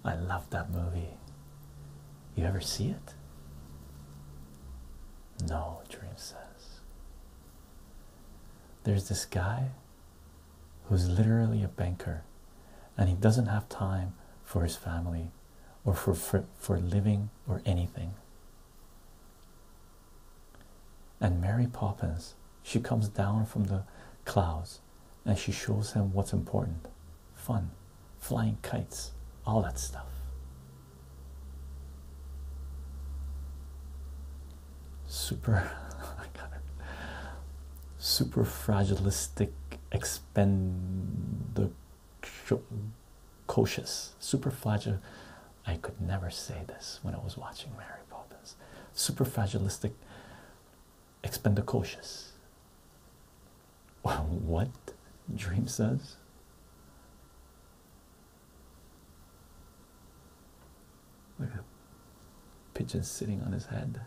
I love that movie. You ever see it? No, Dream says. There's this guy who's literally a banker and he doesn't have time for his family or for for, for living or anything and mary poppins she comes down from the clouds and she shows him what's important fun flying kites all that stuff super super fragilistic expendicocious super fragile i could never say this when i was watching mary poppins super fragilistic expendicocious what dream says Look at pigeon sitting on his head.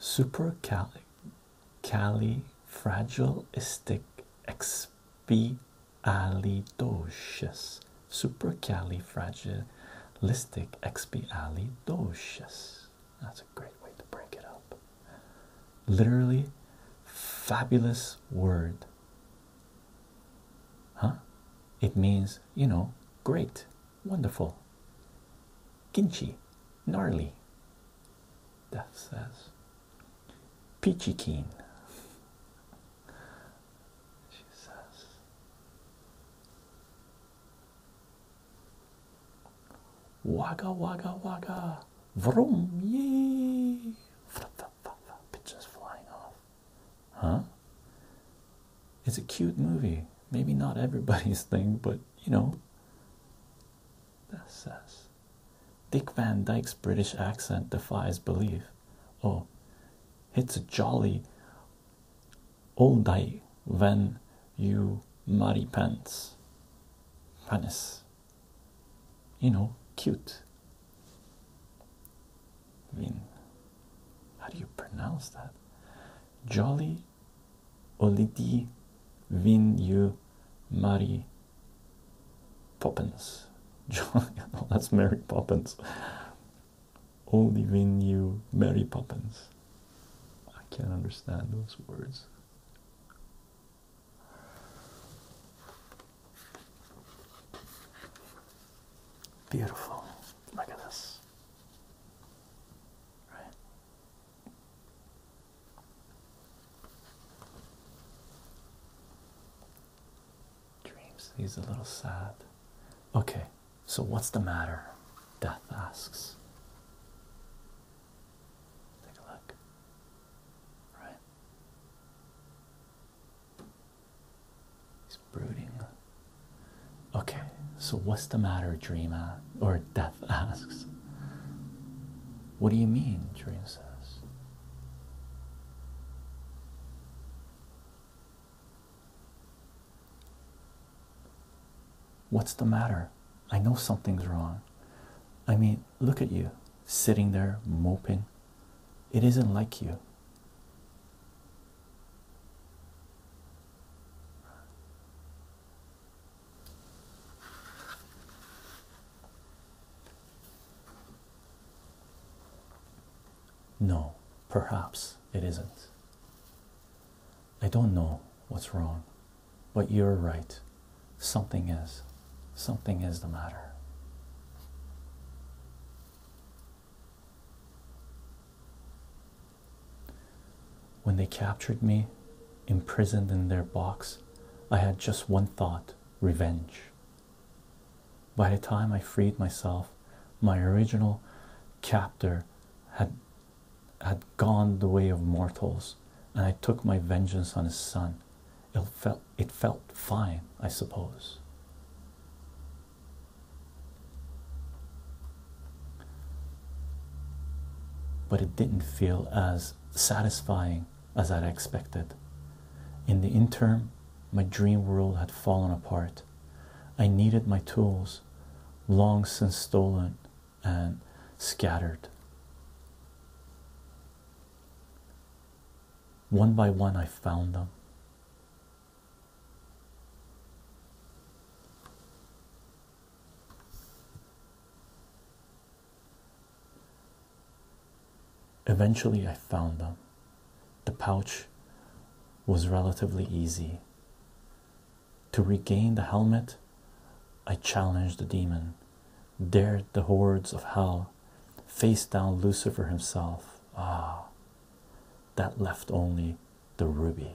Supercali cali fragilistic expialidocious supercalifragilistic expialidocious that's a great way to break it up. Literally, fabulous word. Huh? It means, you know, great, wonderful. Ginchy, gnarly. That says peachy keen. She says Wagga wagga wagga. Vroom. Yay. flying off. Huh? It's a cute movie. Maybe not everybody's thing, but you know. That says Dick Van Dyke's British accent defies belief. Oh, it's a jolly old day when you muddy pants. Panis. You know, cute. I how do you pronounce that? Jolly Olidi Vin you Mary Poppins. Jolly that's Mary Poppins. Only Vin you Mary Poppins. I can't understand those words. Beautiful. Look at this. Dreams. He's a little sad. Okay, so what's the matter? Death asks. Take a look. Right? He's brooding. Okay, so what's the matter, Dreamer? or Death asks? What do you mean? Dream says. What's the matter? I know something's wrong. I mean, look at you sitting there moping. It isn't like you. No, perhaps it isn't. I don't know what's wrong. But you're right. Something is. Something is the matter. When they captured me, imprisoned in their box, I had just one thought revenge. By the time I freed myself, my original captor had had gone the way of mortals, and I took my vengeance on his son. It felt it felt fine, I suppose. But it didn't feel as satisfying as I'd expected. In the interim, my dream world had fallen apart. I needed my tools, long since stolen, and scattered. One by one, I found them. Eventually, I found them. The pouch was relatively easy. To regain the helmet, I challenged the demon, dared the hordes of hell, faced down Lucifer himself. Ah, that left only the ruby.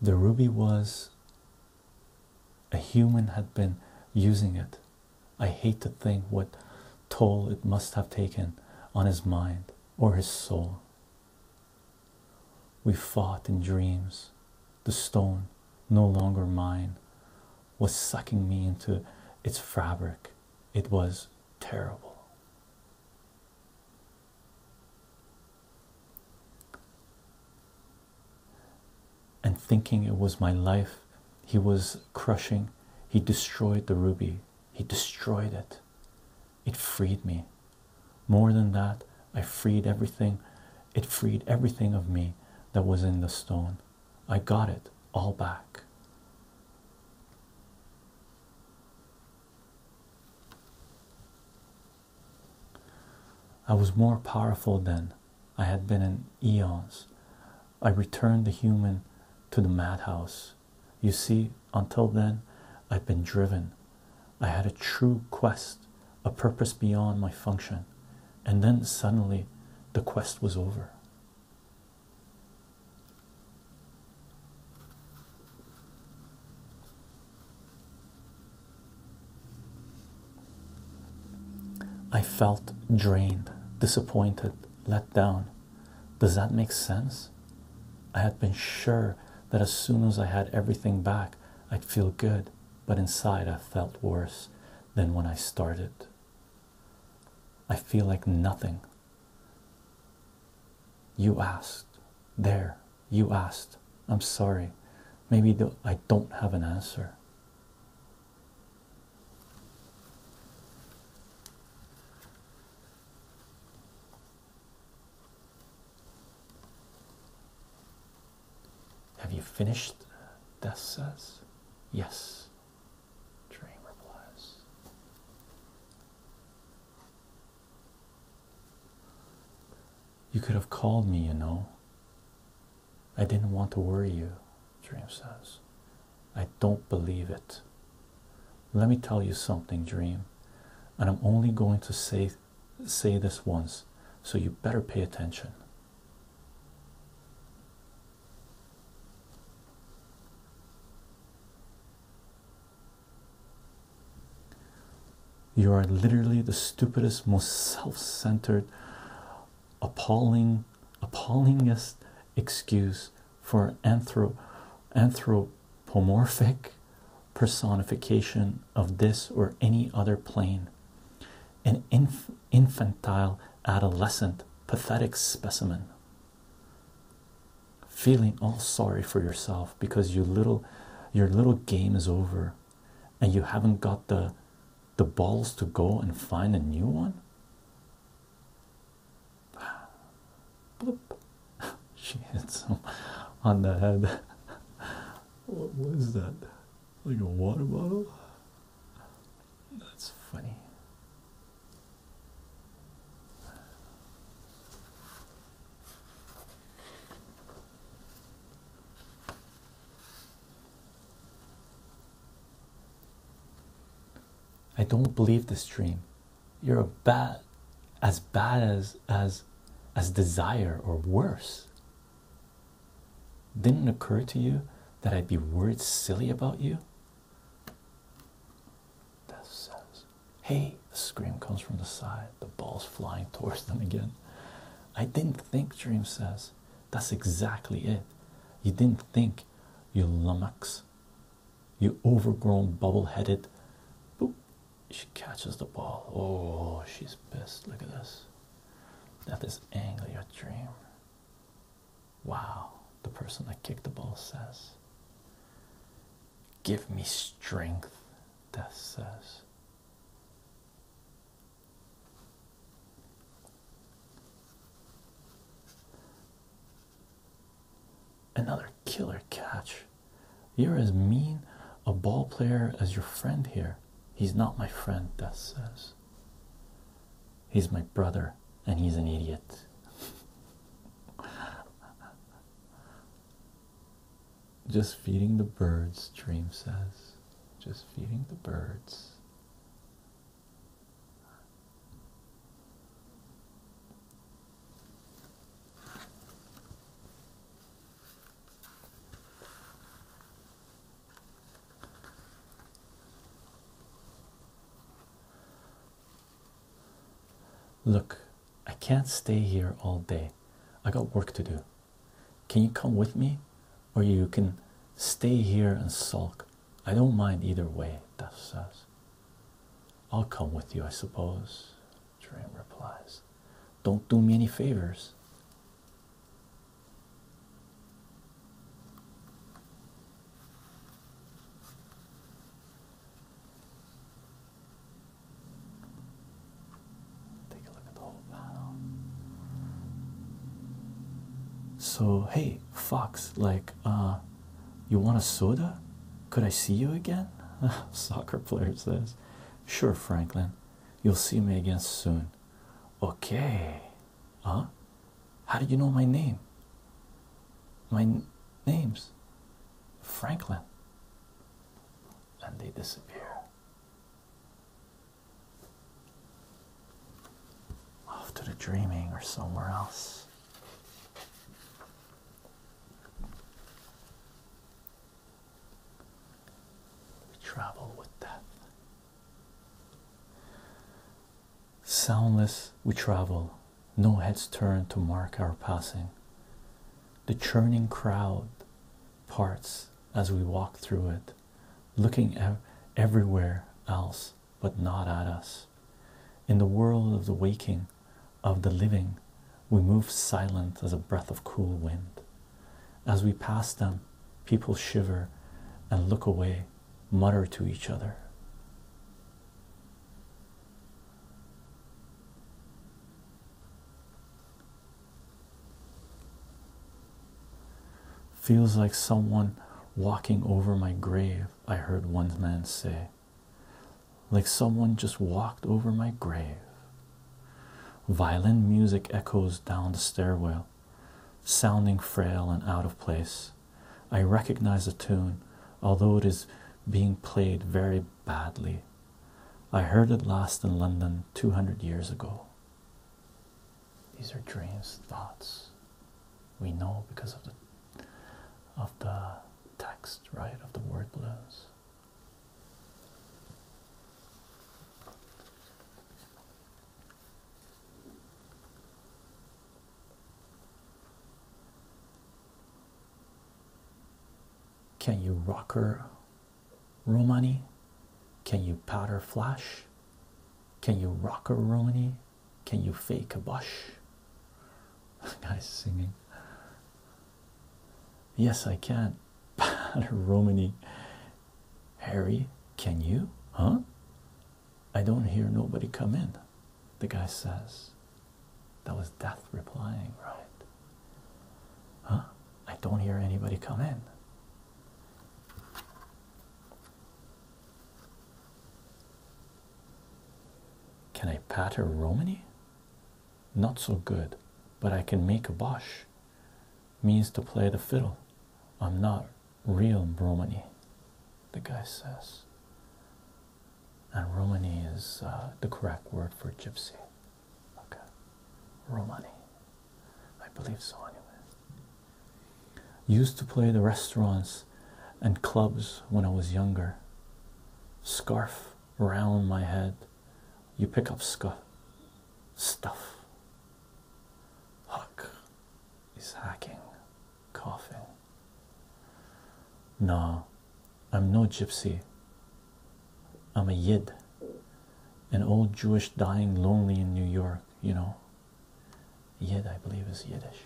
The ruby was a human had been using it. I hate to think what toll it must have taken on his mind or his soul. We fought in dreams. The stone, no longer mine, was sucking me into its fabric. It was terrible and thinking it was my life he was crushing he destroyed the ruby he destroyed it it freed me more than that i freed everything it freed everything of me that was in the stone i got it all back I was more powerful then I had been in eons. I returned the human to the madhouse. You see, until then, i had been driven. I had a true quest, a purpose beyond my function, and then suddenly the quest was over. I felt drained, disappointed, let down. Does that make sense? I had been sure that as soon as I had everything back, I'd feel good, but inside I felt worse than when I started. I feel like nothing. You asked. There, you asked. I'm sorry. Maybe I don't have an answer. Have you finished? Death says. Yes. Dream replies. You could have called me, you know. I didn't want to worry you, Dream says. I don't believe it. Let me tell you something, Dream, and I'm only going to say say this once, so you better pay attention. You are literally the stupidest, most self centered, appalling appallingest excuse for anthro anthropomorphic personification of this or any other plane an infantile adolescent pathetic specimen feeling all sorry for yourself because your little game is over and you haven't got the the balls to go and find a new one she hits him on the head what was that like a water bottle that's funny I don't believe this dream. You're a bad as bad as as as desire or worse. Didn't occur to you that I'd be worried silly about you? Death says, Hey, a scream comes from the side, the ball's flying towards them again. I didn't think, Dream says. That's exactly it. You didn't think, you lummox, you overgrown, bubble headed. Boop. She catches the ball. Oh, she's pissed. Look at this. That is this dream. Wow, the person that kicked the ball says. Give me strength, Death says. Another killer catch. You're as mean a ball player as your friend here. He's not my friend, Death says. He's my brother, and he's an idiot. Just feeding the birds, Dream says just feeding the birds. Look, I can't stay here all day. I got work to do. Can you come with me? Or you can stay here and sulk. I don't mind either way, Death says. I'll come with you, I suppose. Dream replies. Don't do me any favors. Take a look at the whole panel. So, hey, Fox, like, uh, you want a soda? Could I see you again? Soccer players, says, Sure, Franklin, you'll see me again soon. Okay, huh? How do you know my name? My name's Franklin. And they disappear. Off to the dreaming or somewhere else. We travel with death. Soundless we travel, no heads turned to mark our passing. The churning crowd parts as we walk through it looking everywhere else but not at us. In the world of the waking, of the living, we move silent as a breath of cool wind. As we pass them, people shiver and look away, mutter to each other. Feels like someone walking over my grave, I heard one man say. Like someone just walked over my grave. Violin music echoes down the stairwell, sounding frail and out of place. I recognize the tune, although it is being played very badly. I heard it last in London 200 years ago. These are dreams, thoughts. We know because of the of the text, right? Of the word balloons. Can you rock her Romani? Can you powder flash? Can you rock a Romani? Can you fake a bush? The Guy's singing. Yes, I can. Powder Romani. Harry, can you? Huh? I don't hear nobody come in. The guy says. That was death replying, right? Huh? I don't hear anybody come in. Can I patter Romany? Not so good, but I can make a bosh. Means to play the fiddle. I'm not real Romany, the guy says. And Romany is uh, the correct word for gypsy. Okay, Romani. I believe so, anyway. Used to play the restaurants and clubs when I was younger. Scarf around my head. You pick up stuff. Huck is hacking, coughing. Nah, I'm no gypsy. I'm a Yid, an old Jewish dying lonely in New York you know yid i believe is yiddish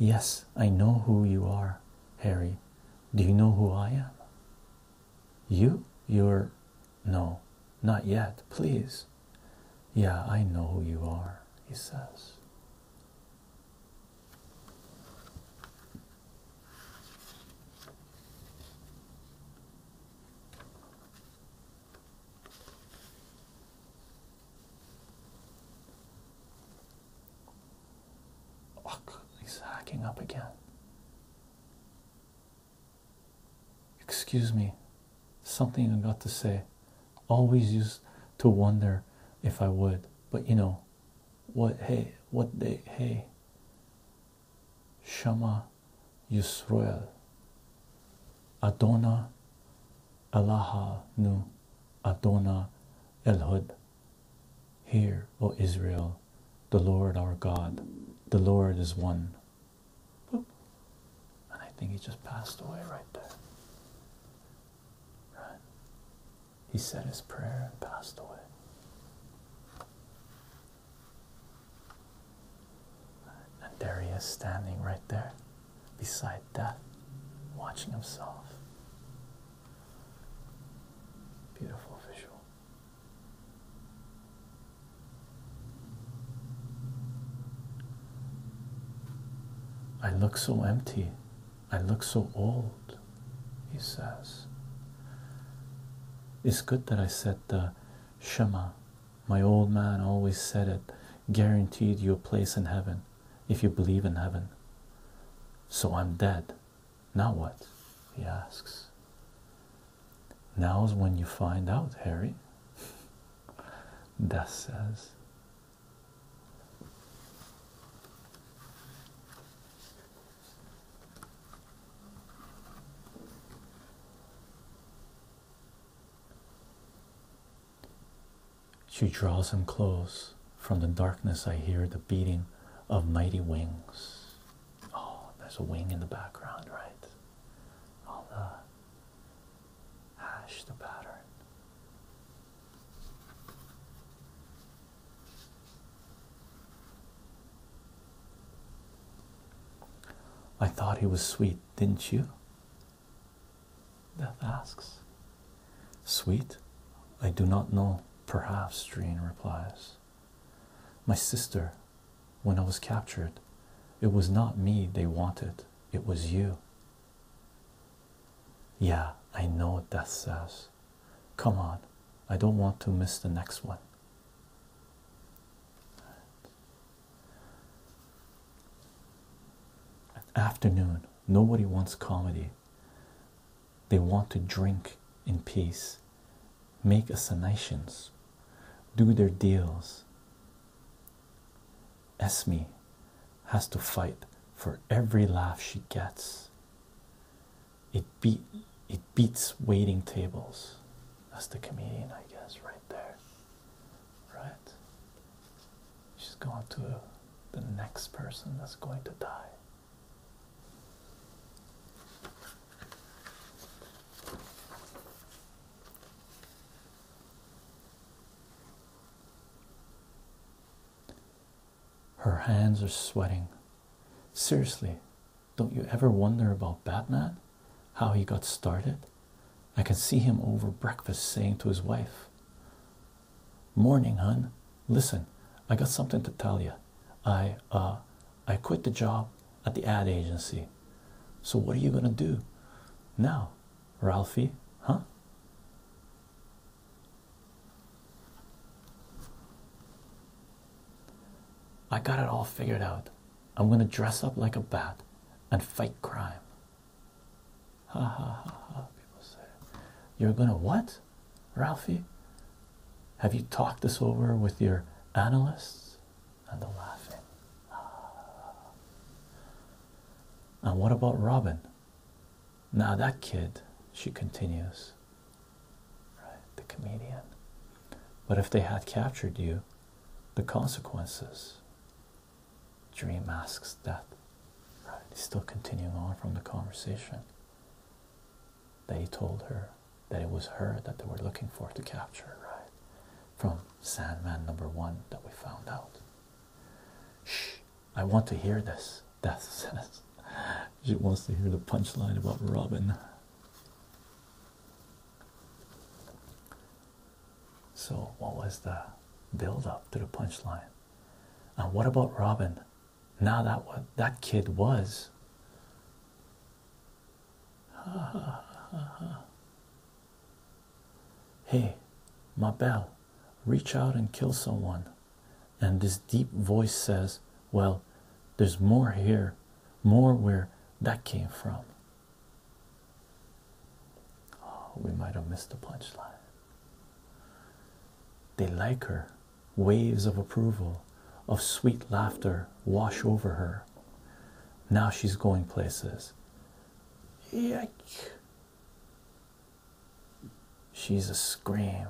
Yes, I know who you are, Harry. Do you know who I am? You? You're. No, not yet, please. Yeah, I know who you are, he says. Look, he's hacking up again. Excuse me, something I got to say. Always used to wonder if I would, but you know, what hey, what they? hey, Shema, Yisroel, Adona Allaha Nu, Adona Elhud. Hear, O Israel, the Lord our God, the Lord is one. And I think he just passed away right there. Right? He said his prayer and passed away. And there he is standing right there beside death, watching himself. Beautiful visual. I look so empty. I look so old, he says. It's good that I said the Shema. My old man always said it guaranteed you a place in heaven if you believe in heaven. So I'm dead. Now what? He asks. Now's when you find out, Harry. Death says. She draws him close. From the darkness, I hear the beating of mighty wings. Oh, there's a wing in the background, right? All the hash the pattern. I thought he was sweet, didn't you? Death asks. Sweet? I do not know. Perhaps, Dreen replies. My sister, when I was captured, it was not me they wanted, it was you. Yeah, I know what death says. Come on, I don't want to miss the next one. Afternoon, nobody wants comedy. They want to drink in peace, make assignations, do their deals. Esme has to fight for every laugh she gets. It beat it beats waiting tables. That's the comedian, I guess, right there. Right? She's going to the next person that's going to die. Her hands are sweating. Seriously, don't you ever wonder about Batman? How he got started? I can see him over breakfast saying to his wife, Morning, hun. Listen, I got something to tell you. I, uh, I quit the job at the ad agency. So, what are you gonna do now? Ralphie, huh? I got it all figured out. I'm gonna dress up like a bat and fight crime. Ha ha ha ha, people say. You're gonna what, Ralphie? Have you talked this over with your analysts? And the laughing. And what about Robin? Now that kid, she continues, right? The comedian. But if they had captured you, the consequences. Dream asks that. Right? He's still continuing on from the conversation. They told her that it was her that they were looking for to capture, right? From Sandman number one that we found out. Shh, I want to hear this. Death says she wants to hear the punchline about Robin. So, what was the build up to the punchline? And what about Robin? Now that what that kid was. Hey, Ma Belle, reach out and kill someone. And this deep voice says, Well, there's more here, more where that came from. Oh, we might have missed the punchline. They like her. Waves of approval, of sweet laughter wash over her. Now she's going places. Yike. She's a scream.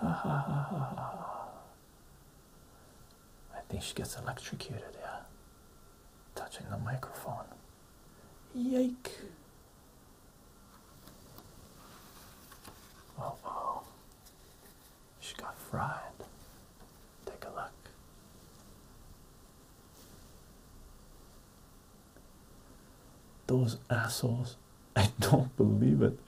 I think she gets electrocuted, yeah. Touching the microphone. Yikes! Oh, oh. She got fried. Take a look. Those assholes. I don't believe it.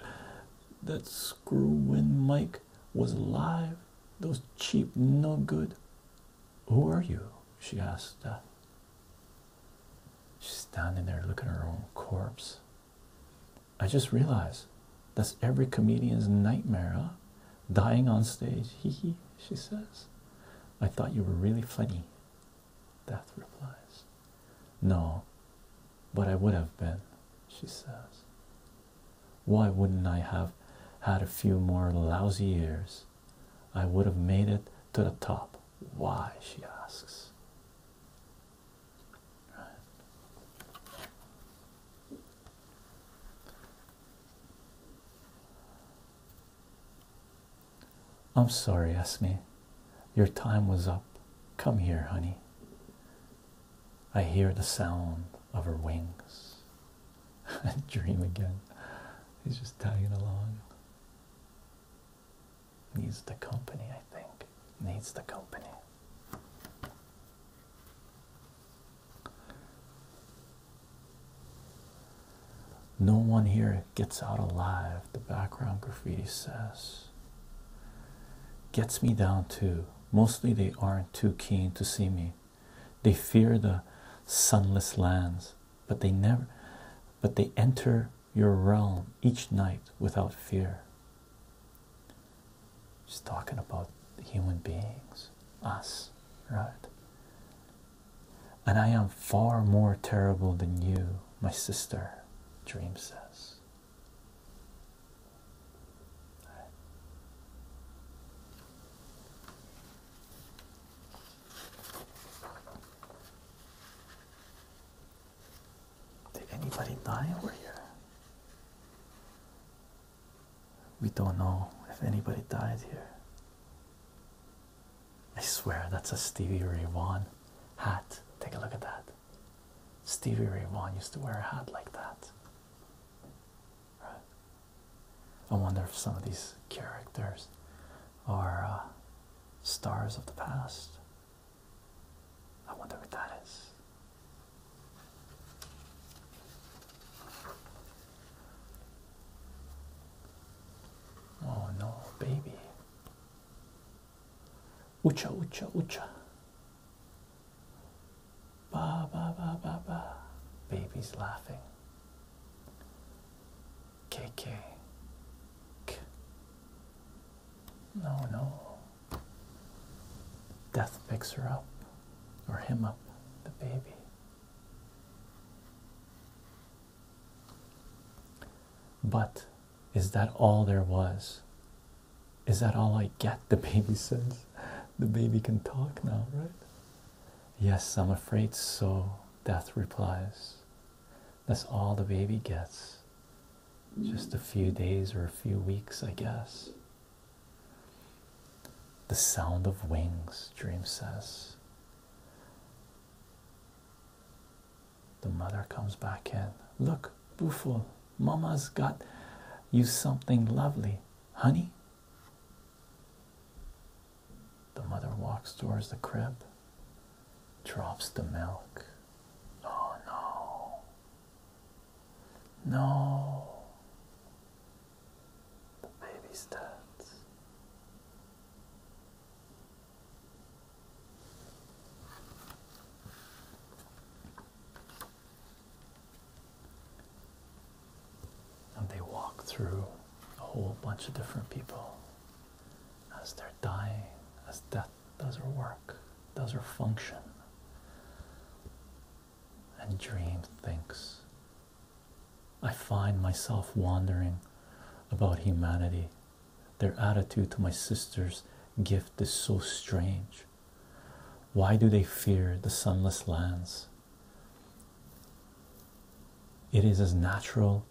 That screw when Mike was alive. Those cheap, no good. Who are you? She asked uh, She's standing there looking at her own corpse. I just realized that's every comedian's nightmare, huh? dying on stage. Hee hee, she says. I thought you were really funny. Death replies. No, but I would have been, she says. Why wouldn't I have had a few more lousy years? I would have made it to the top. Why? she asks. I'm sorry, Esme. Your time was up. Come here, honey. I hear the sound of her wings. I Dream again. He's just tagging along. Needs the company, I think. Needs the company. No one here gets out alive, the background graffiti says. Gets me down too. Mostly they aren't too keen to see me. They fear the sunless lands, but they never but they enter your realm each night without fear. He's talking about human beings, us, right? And I am far more terrible than you, my sister, Dream says. Did anybody die over here? We don't know if anybody died here. I swear that's a Stevie Ray Vaughan hat. Take a look at that. Stevie Ray Vaughan used to wear a hat like that. I wonder if some of these characters are uh, stars of the past. I wonder what that is. Oh no, baby. Ucha, ucha, ucha. Ba, ba, ba, ba, ba. Baby's laughing. KK. K. No, no. Death picks her up, or him up, the baby. But is that all there was? Is that all I get? The baby says. The baby can talk now, right? Yes, I'm afraid so. Death replies. That's all the baby gets. Just a few days or a few weeks, I guess. The sound of wings, Dream says. The mother comes back in. Look, Buful, Mama's got you something lovely, honey. The mother walks towards the crib, drops the milk. Oh no. No. The baby stands. And they walk through a whole bunch of different people as they're dying, as death does her work, does her function. And dream thinks I find myself wondering about humanity. Their attitude to my sister's gift is so strange. Why do they fear the sunless lands? It is as natural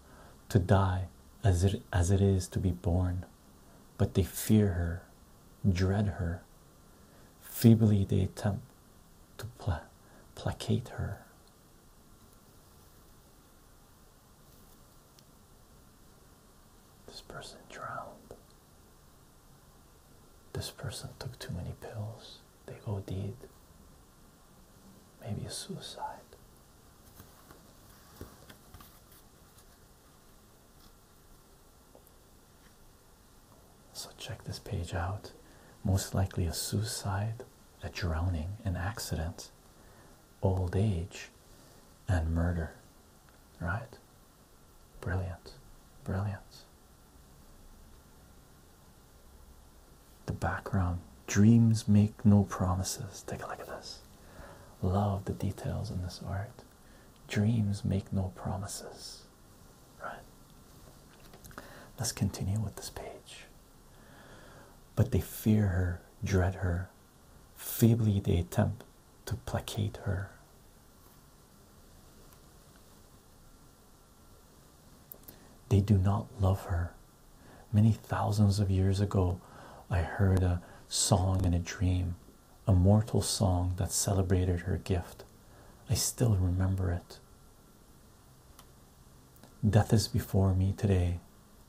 to die as it, as it is to be born, but they fear her, dread her. Feebly they attempt to placate her. This person drowned. This person took too many pills. They OD'd. Maybe a suicide. So check this page out. Most likely a suicide a drowning, an accident, old age, and murder. Right? Brilliant. Brilliant. The background dreams make no promises. Take a look at this. Love the details in this art. Dreams make no promises. Right? Let's continue with this page. But they fear her, dread her. Feebly they attempt to placate her. They do not love her. Many thousands of years ago, I heard a song in a dream, a mortal song that celebrated her gift. I still remember it. Death is before me today,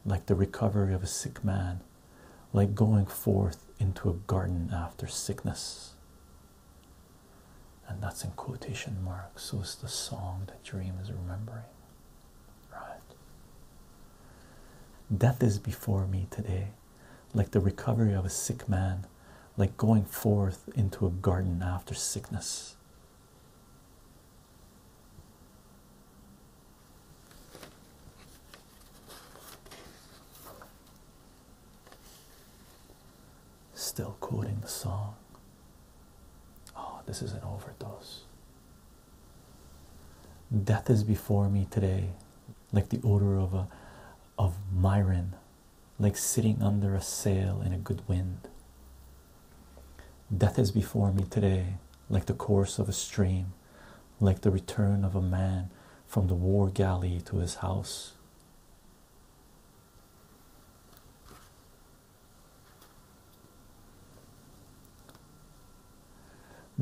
like the recovery of a sick man, like going forth into a garden after sickness. And that's in quotation marks, so it's the song that Dream is remembering. Right? Death is before me today, like the recovery of a sick man, like going forth into a garden after sickness. Still quoting the song. Oh, this is an overdose. Death is before me today, like the odor of a of myron, like sitting under a sail in a good wind. Death is before me today, like the course of a stream, like the return of a man from the war galley to his house.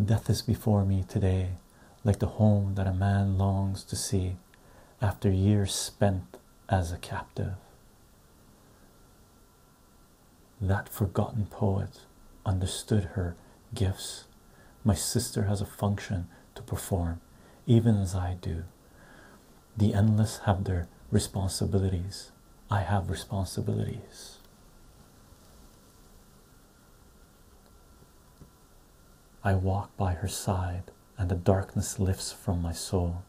Death is before me today, like the home that a man longs to see after years spent as a captive. That forgotten poet understood her gifts. My sister has a function to perform, even as I do. The endless have their responsibilities. I have responsibilities. I walk by her side, and the darkness lifts from my soul.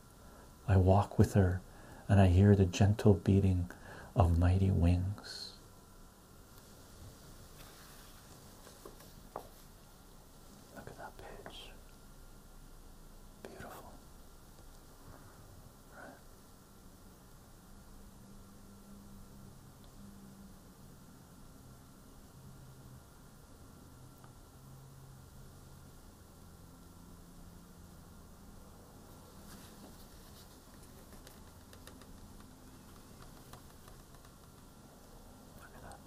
I walk with her, and I hear the gentle beating of mighty wings. Look at that page. Beautiful. Right. Look at that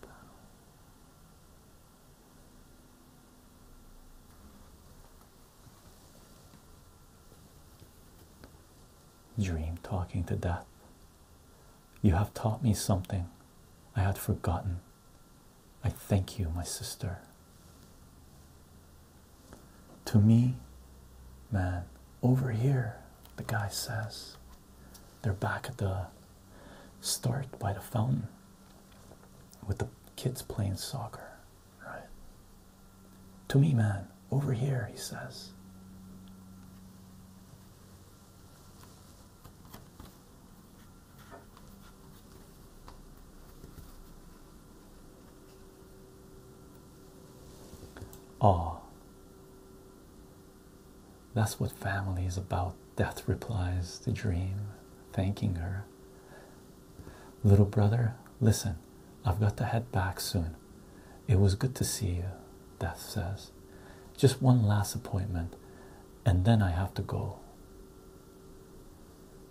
Dream talking to death. You have taught me something I had forgotten. I thank you, my sister. To me, man, over here, the guy says they're back at the start by the fountain with the kids playing soccer, right? To me, man, over here, he says. Oh, that's what family is about. Death replies the dream, thanking her. Little brother, listen, I've got to head back soon. It was good to see you, Death says. Just one last appointment, and then I have to go.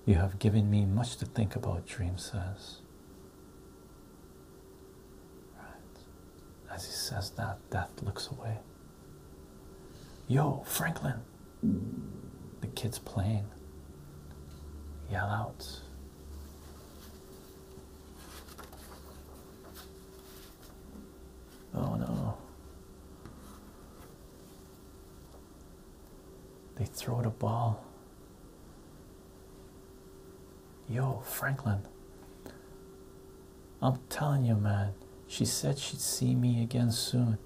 You have given me much to think about, Dream says. As he says that, Death looks away. Yo, Franklin! The kid's playing. Yell out. Oh no. They throw the ball. Yo, Franklin. I'm telling you, man. She said she'd see me again soon,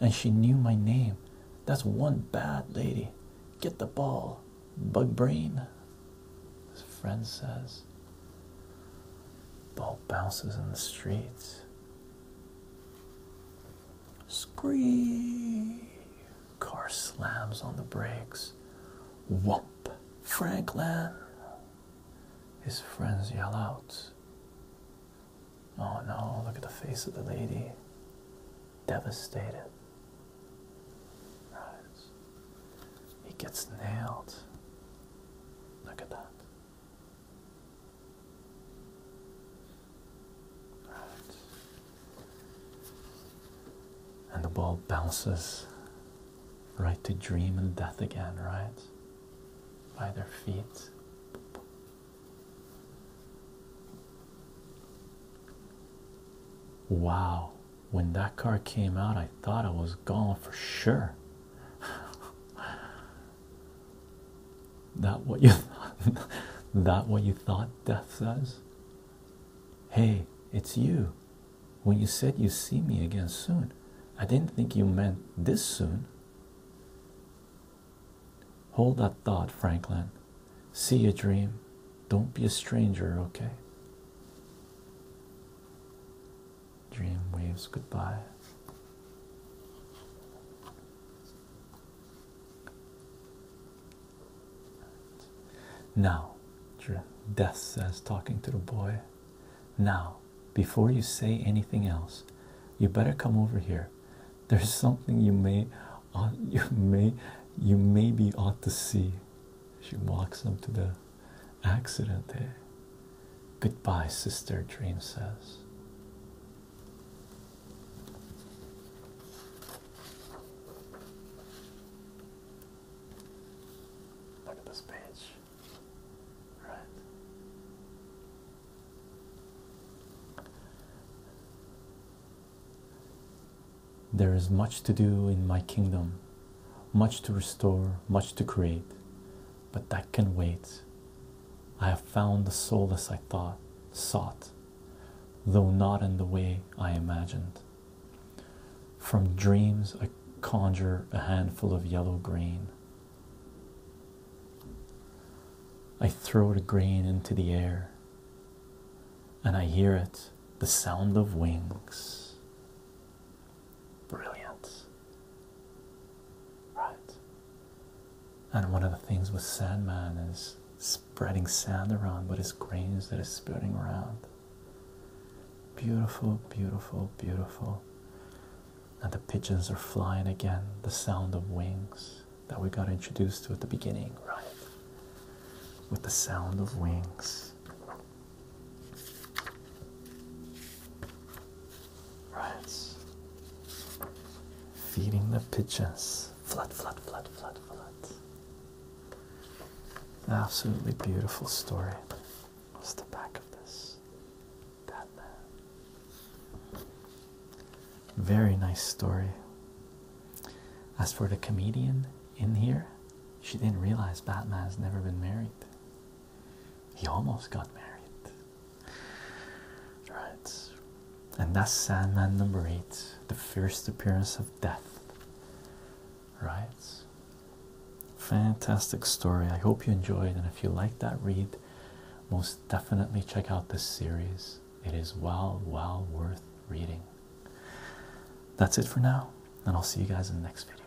and she knew my name. That's one bad lady. Get the ball, bug brain. His friend says. Ball bounces in the streets. Scream! Car slams on the brakes. Whoop! Franklin! His friends yell out. Oh no, look at the face of the lady. Devastated. He gets nailed. Look at that. Right. And the ball bounces right to dream and death again, right? By their feet. Wow, when that card came out, I thought I was gone for sure. that what you thought, that what you thought death says hey it's you when you said you see me again soon i didn't think you meant this soon hold that thought franklin see your dream don't be a stranger okay dream waves goodbye now, Death says, talking to the boy, now, before you say anything else, you better come over here. There's something you may, uh, you may, you maybe ought to see. She walks him to the accident. Eh? Goodbye, sister. Dream says this page, right? There is much to do in my kingdom, much to restore, much to create but that can wait. I have found the solace I thought sought, though not in the way I imagined. From dreams, I conjure a handful of yellow grain. I throw the grain into the air, and I hear it the sound of wings. Brilliant, right? And one of the things with Sandman is spreading sand around, but it's grains that is spreading around. Beautiful, beautiful, beautiful. And the pigeons are flying again, the sound of wings that we got introduced to at the beginning, right? With the sound of wings. Right. Feeding the pigeons. Flood, flood, flood, flood, flood. Absolutely beautiful story. What's the back of this? Batman. Very nice story. As for the comedian in here, she didn't realize Batman's never been married. He almost got married. Right, and that's Sandman number eight, the first appearance of death. Right, fantastic story. I hope you enjoyed, and if you like that read, most definitely check out this series. It is well, well worth reading. That's it for now, and I'll see you guys in the next video.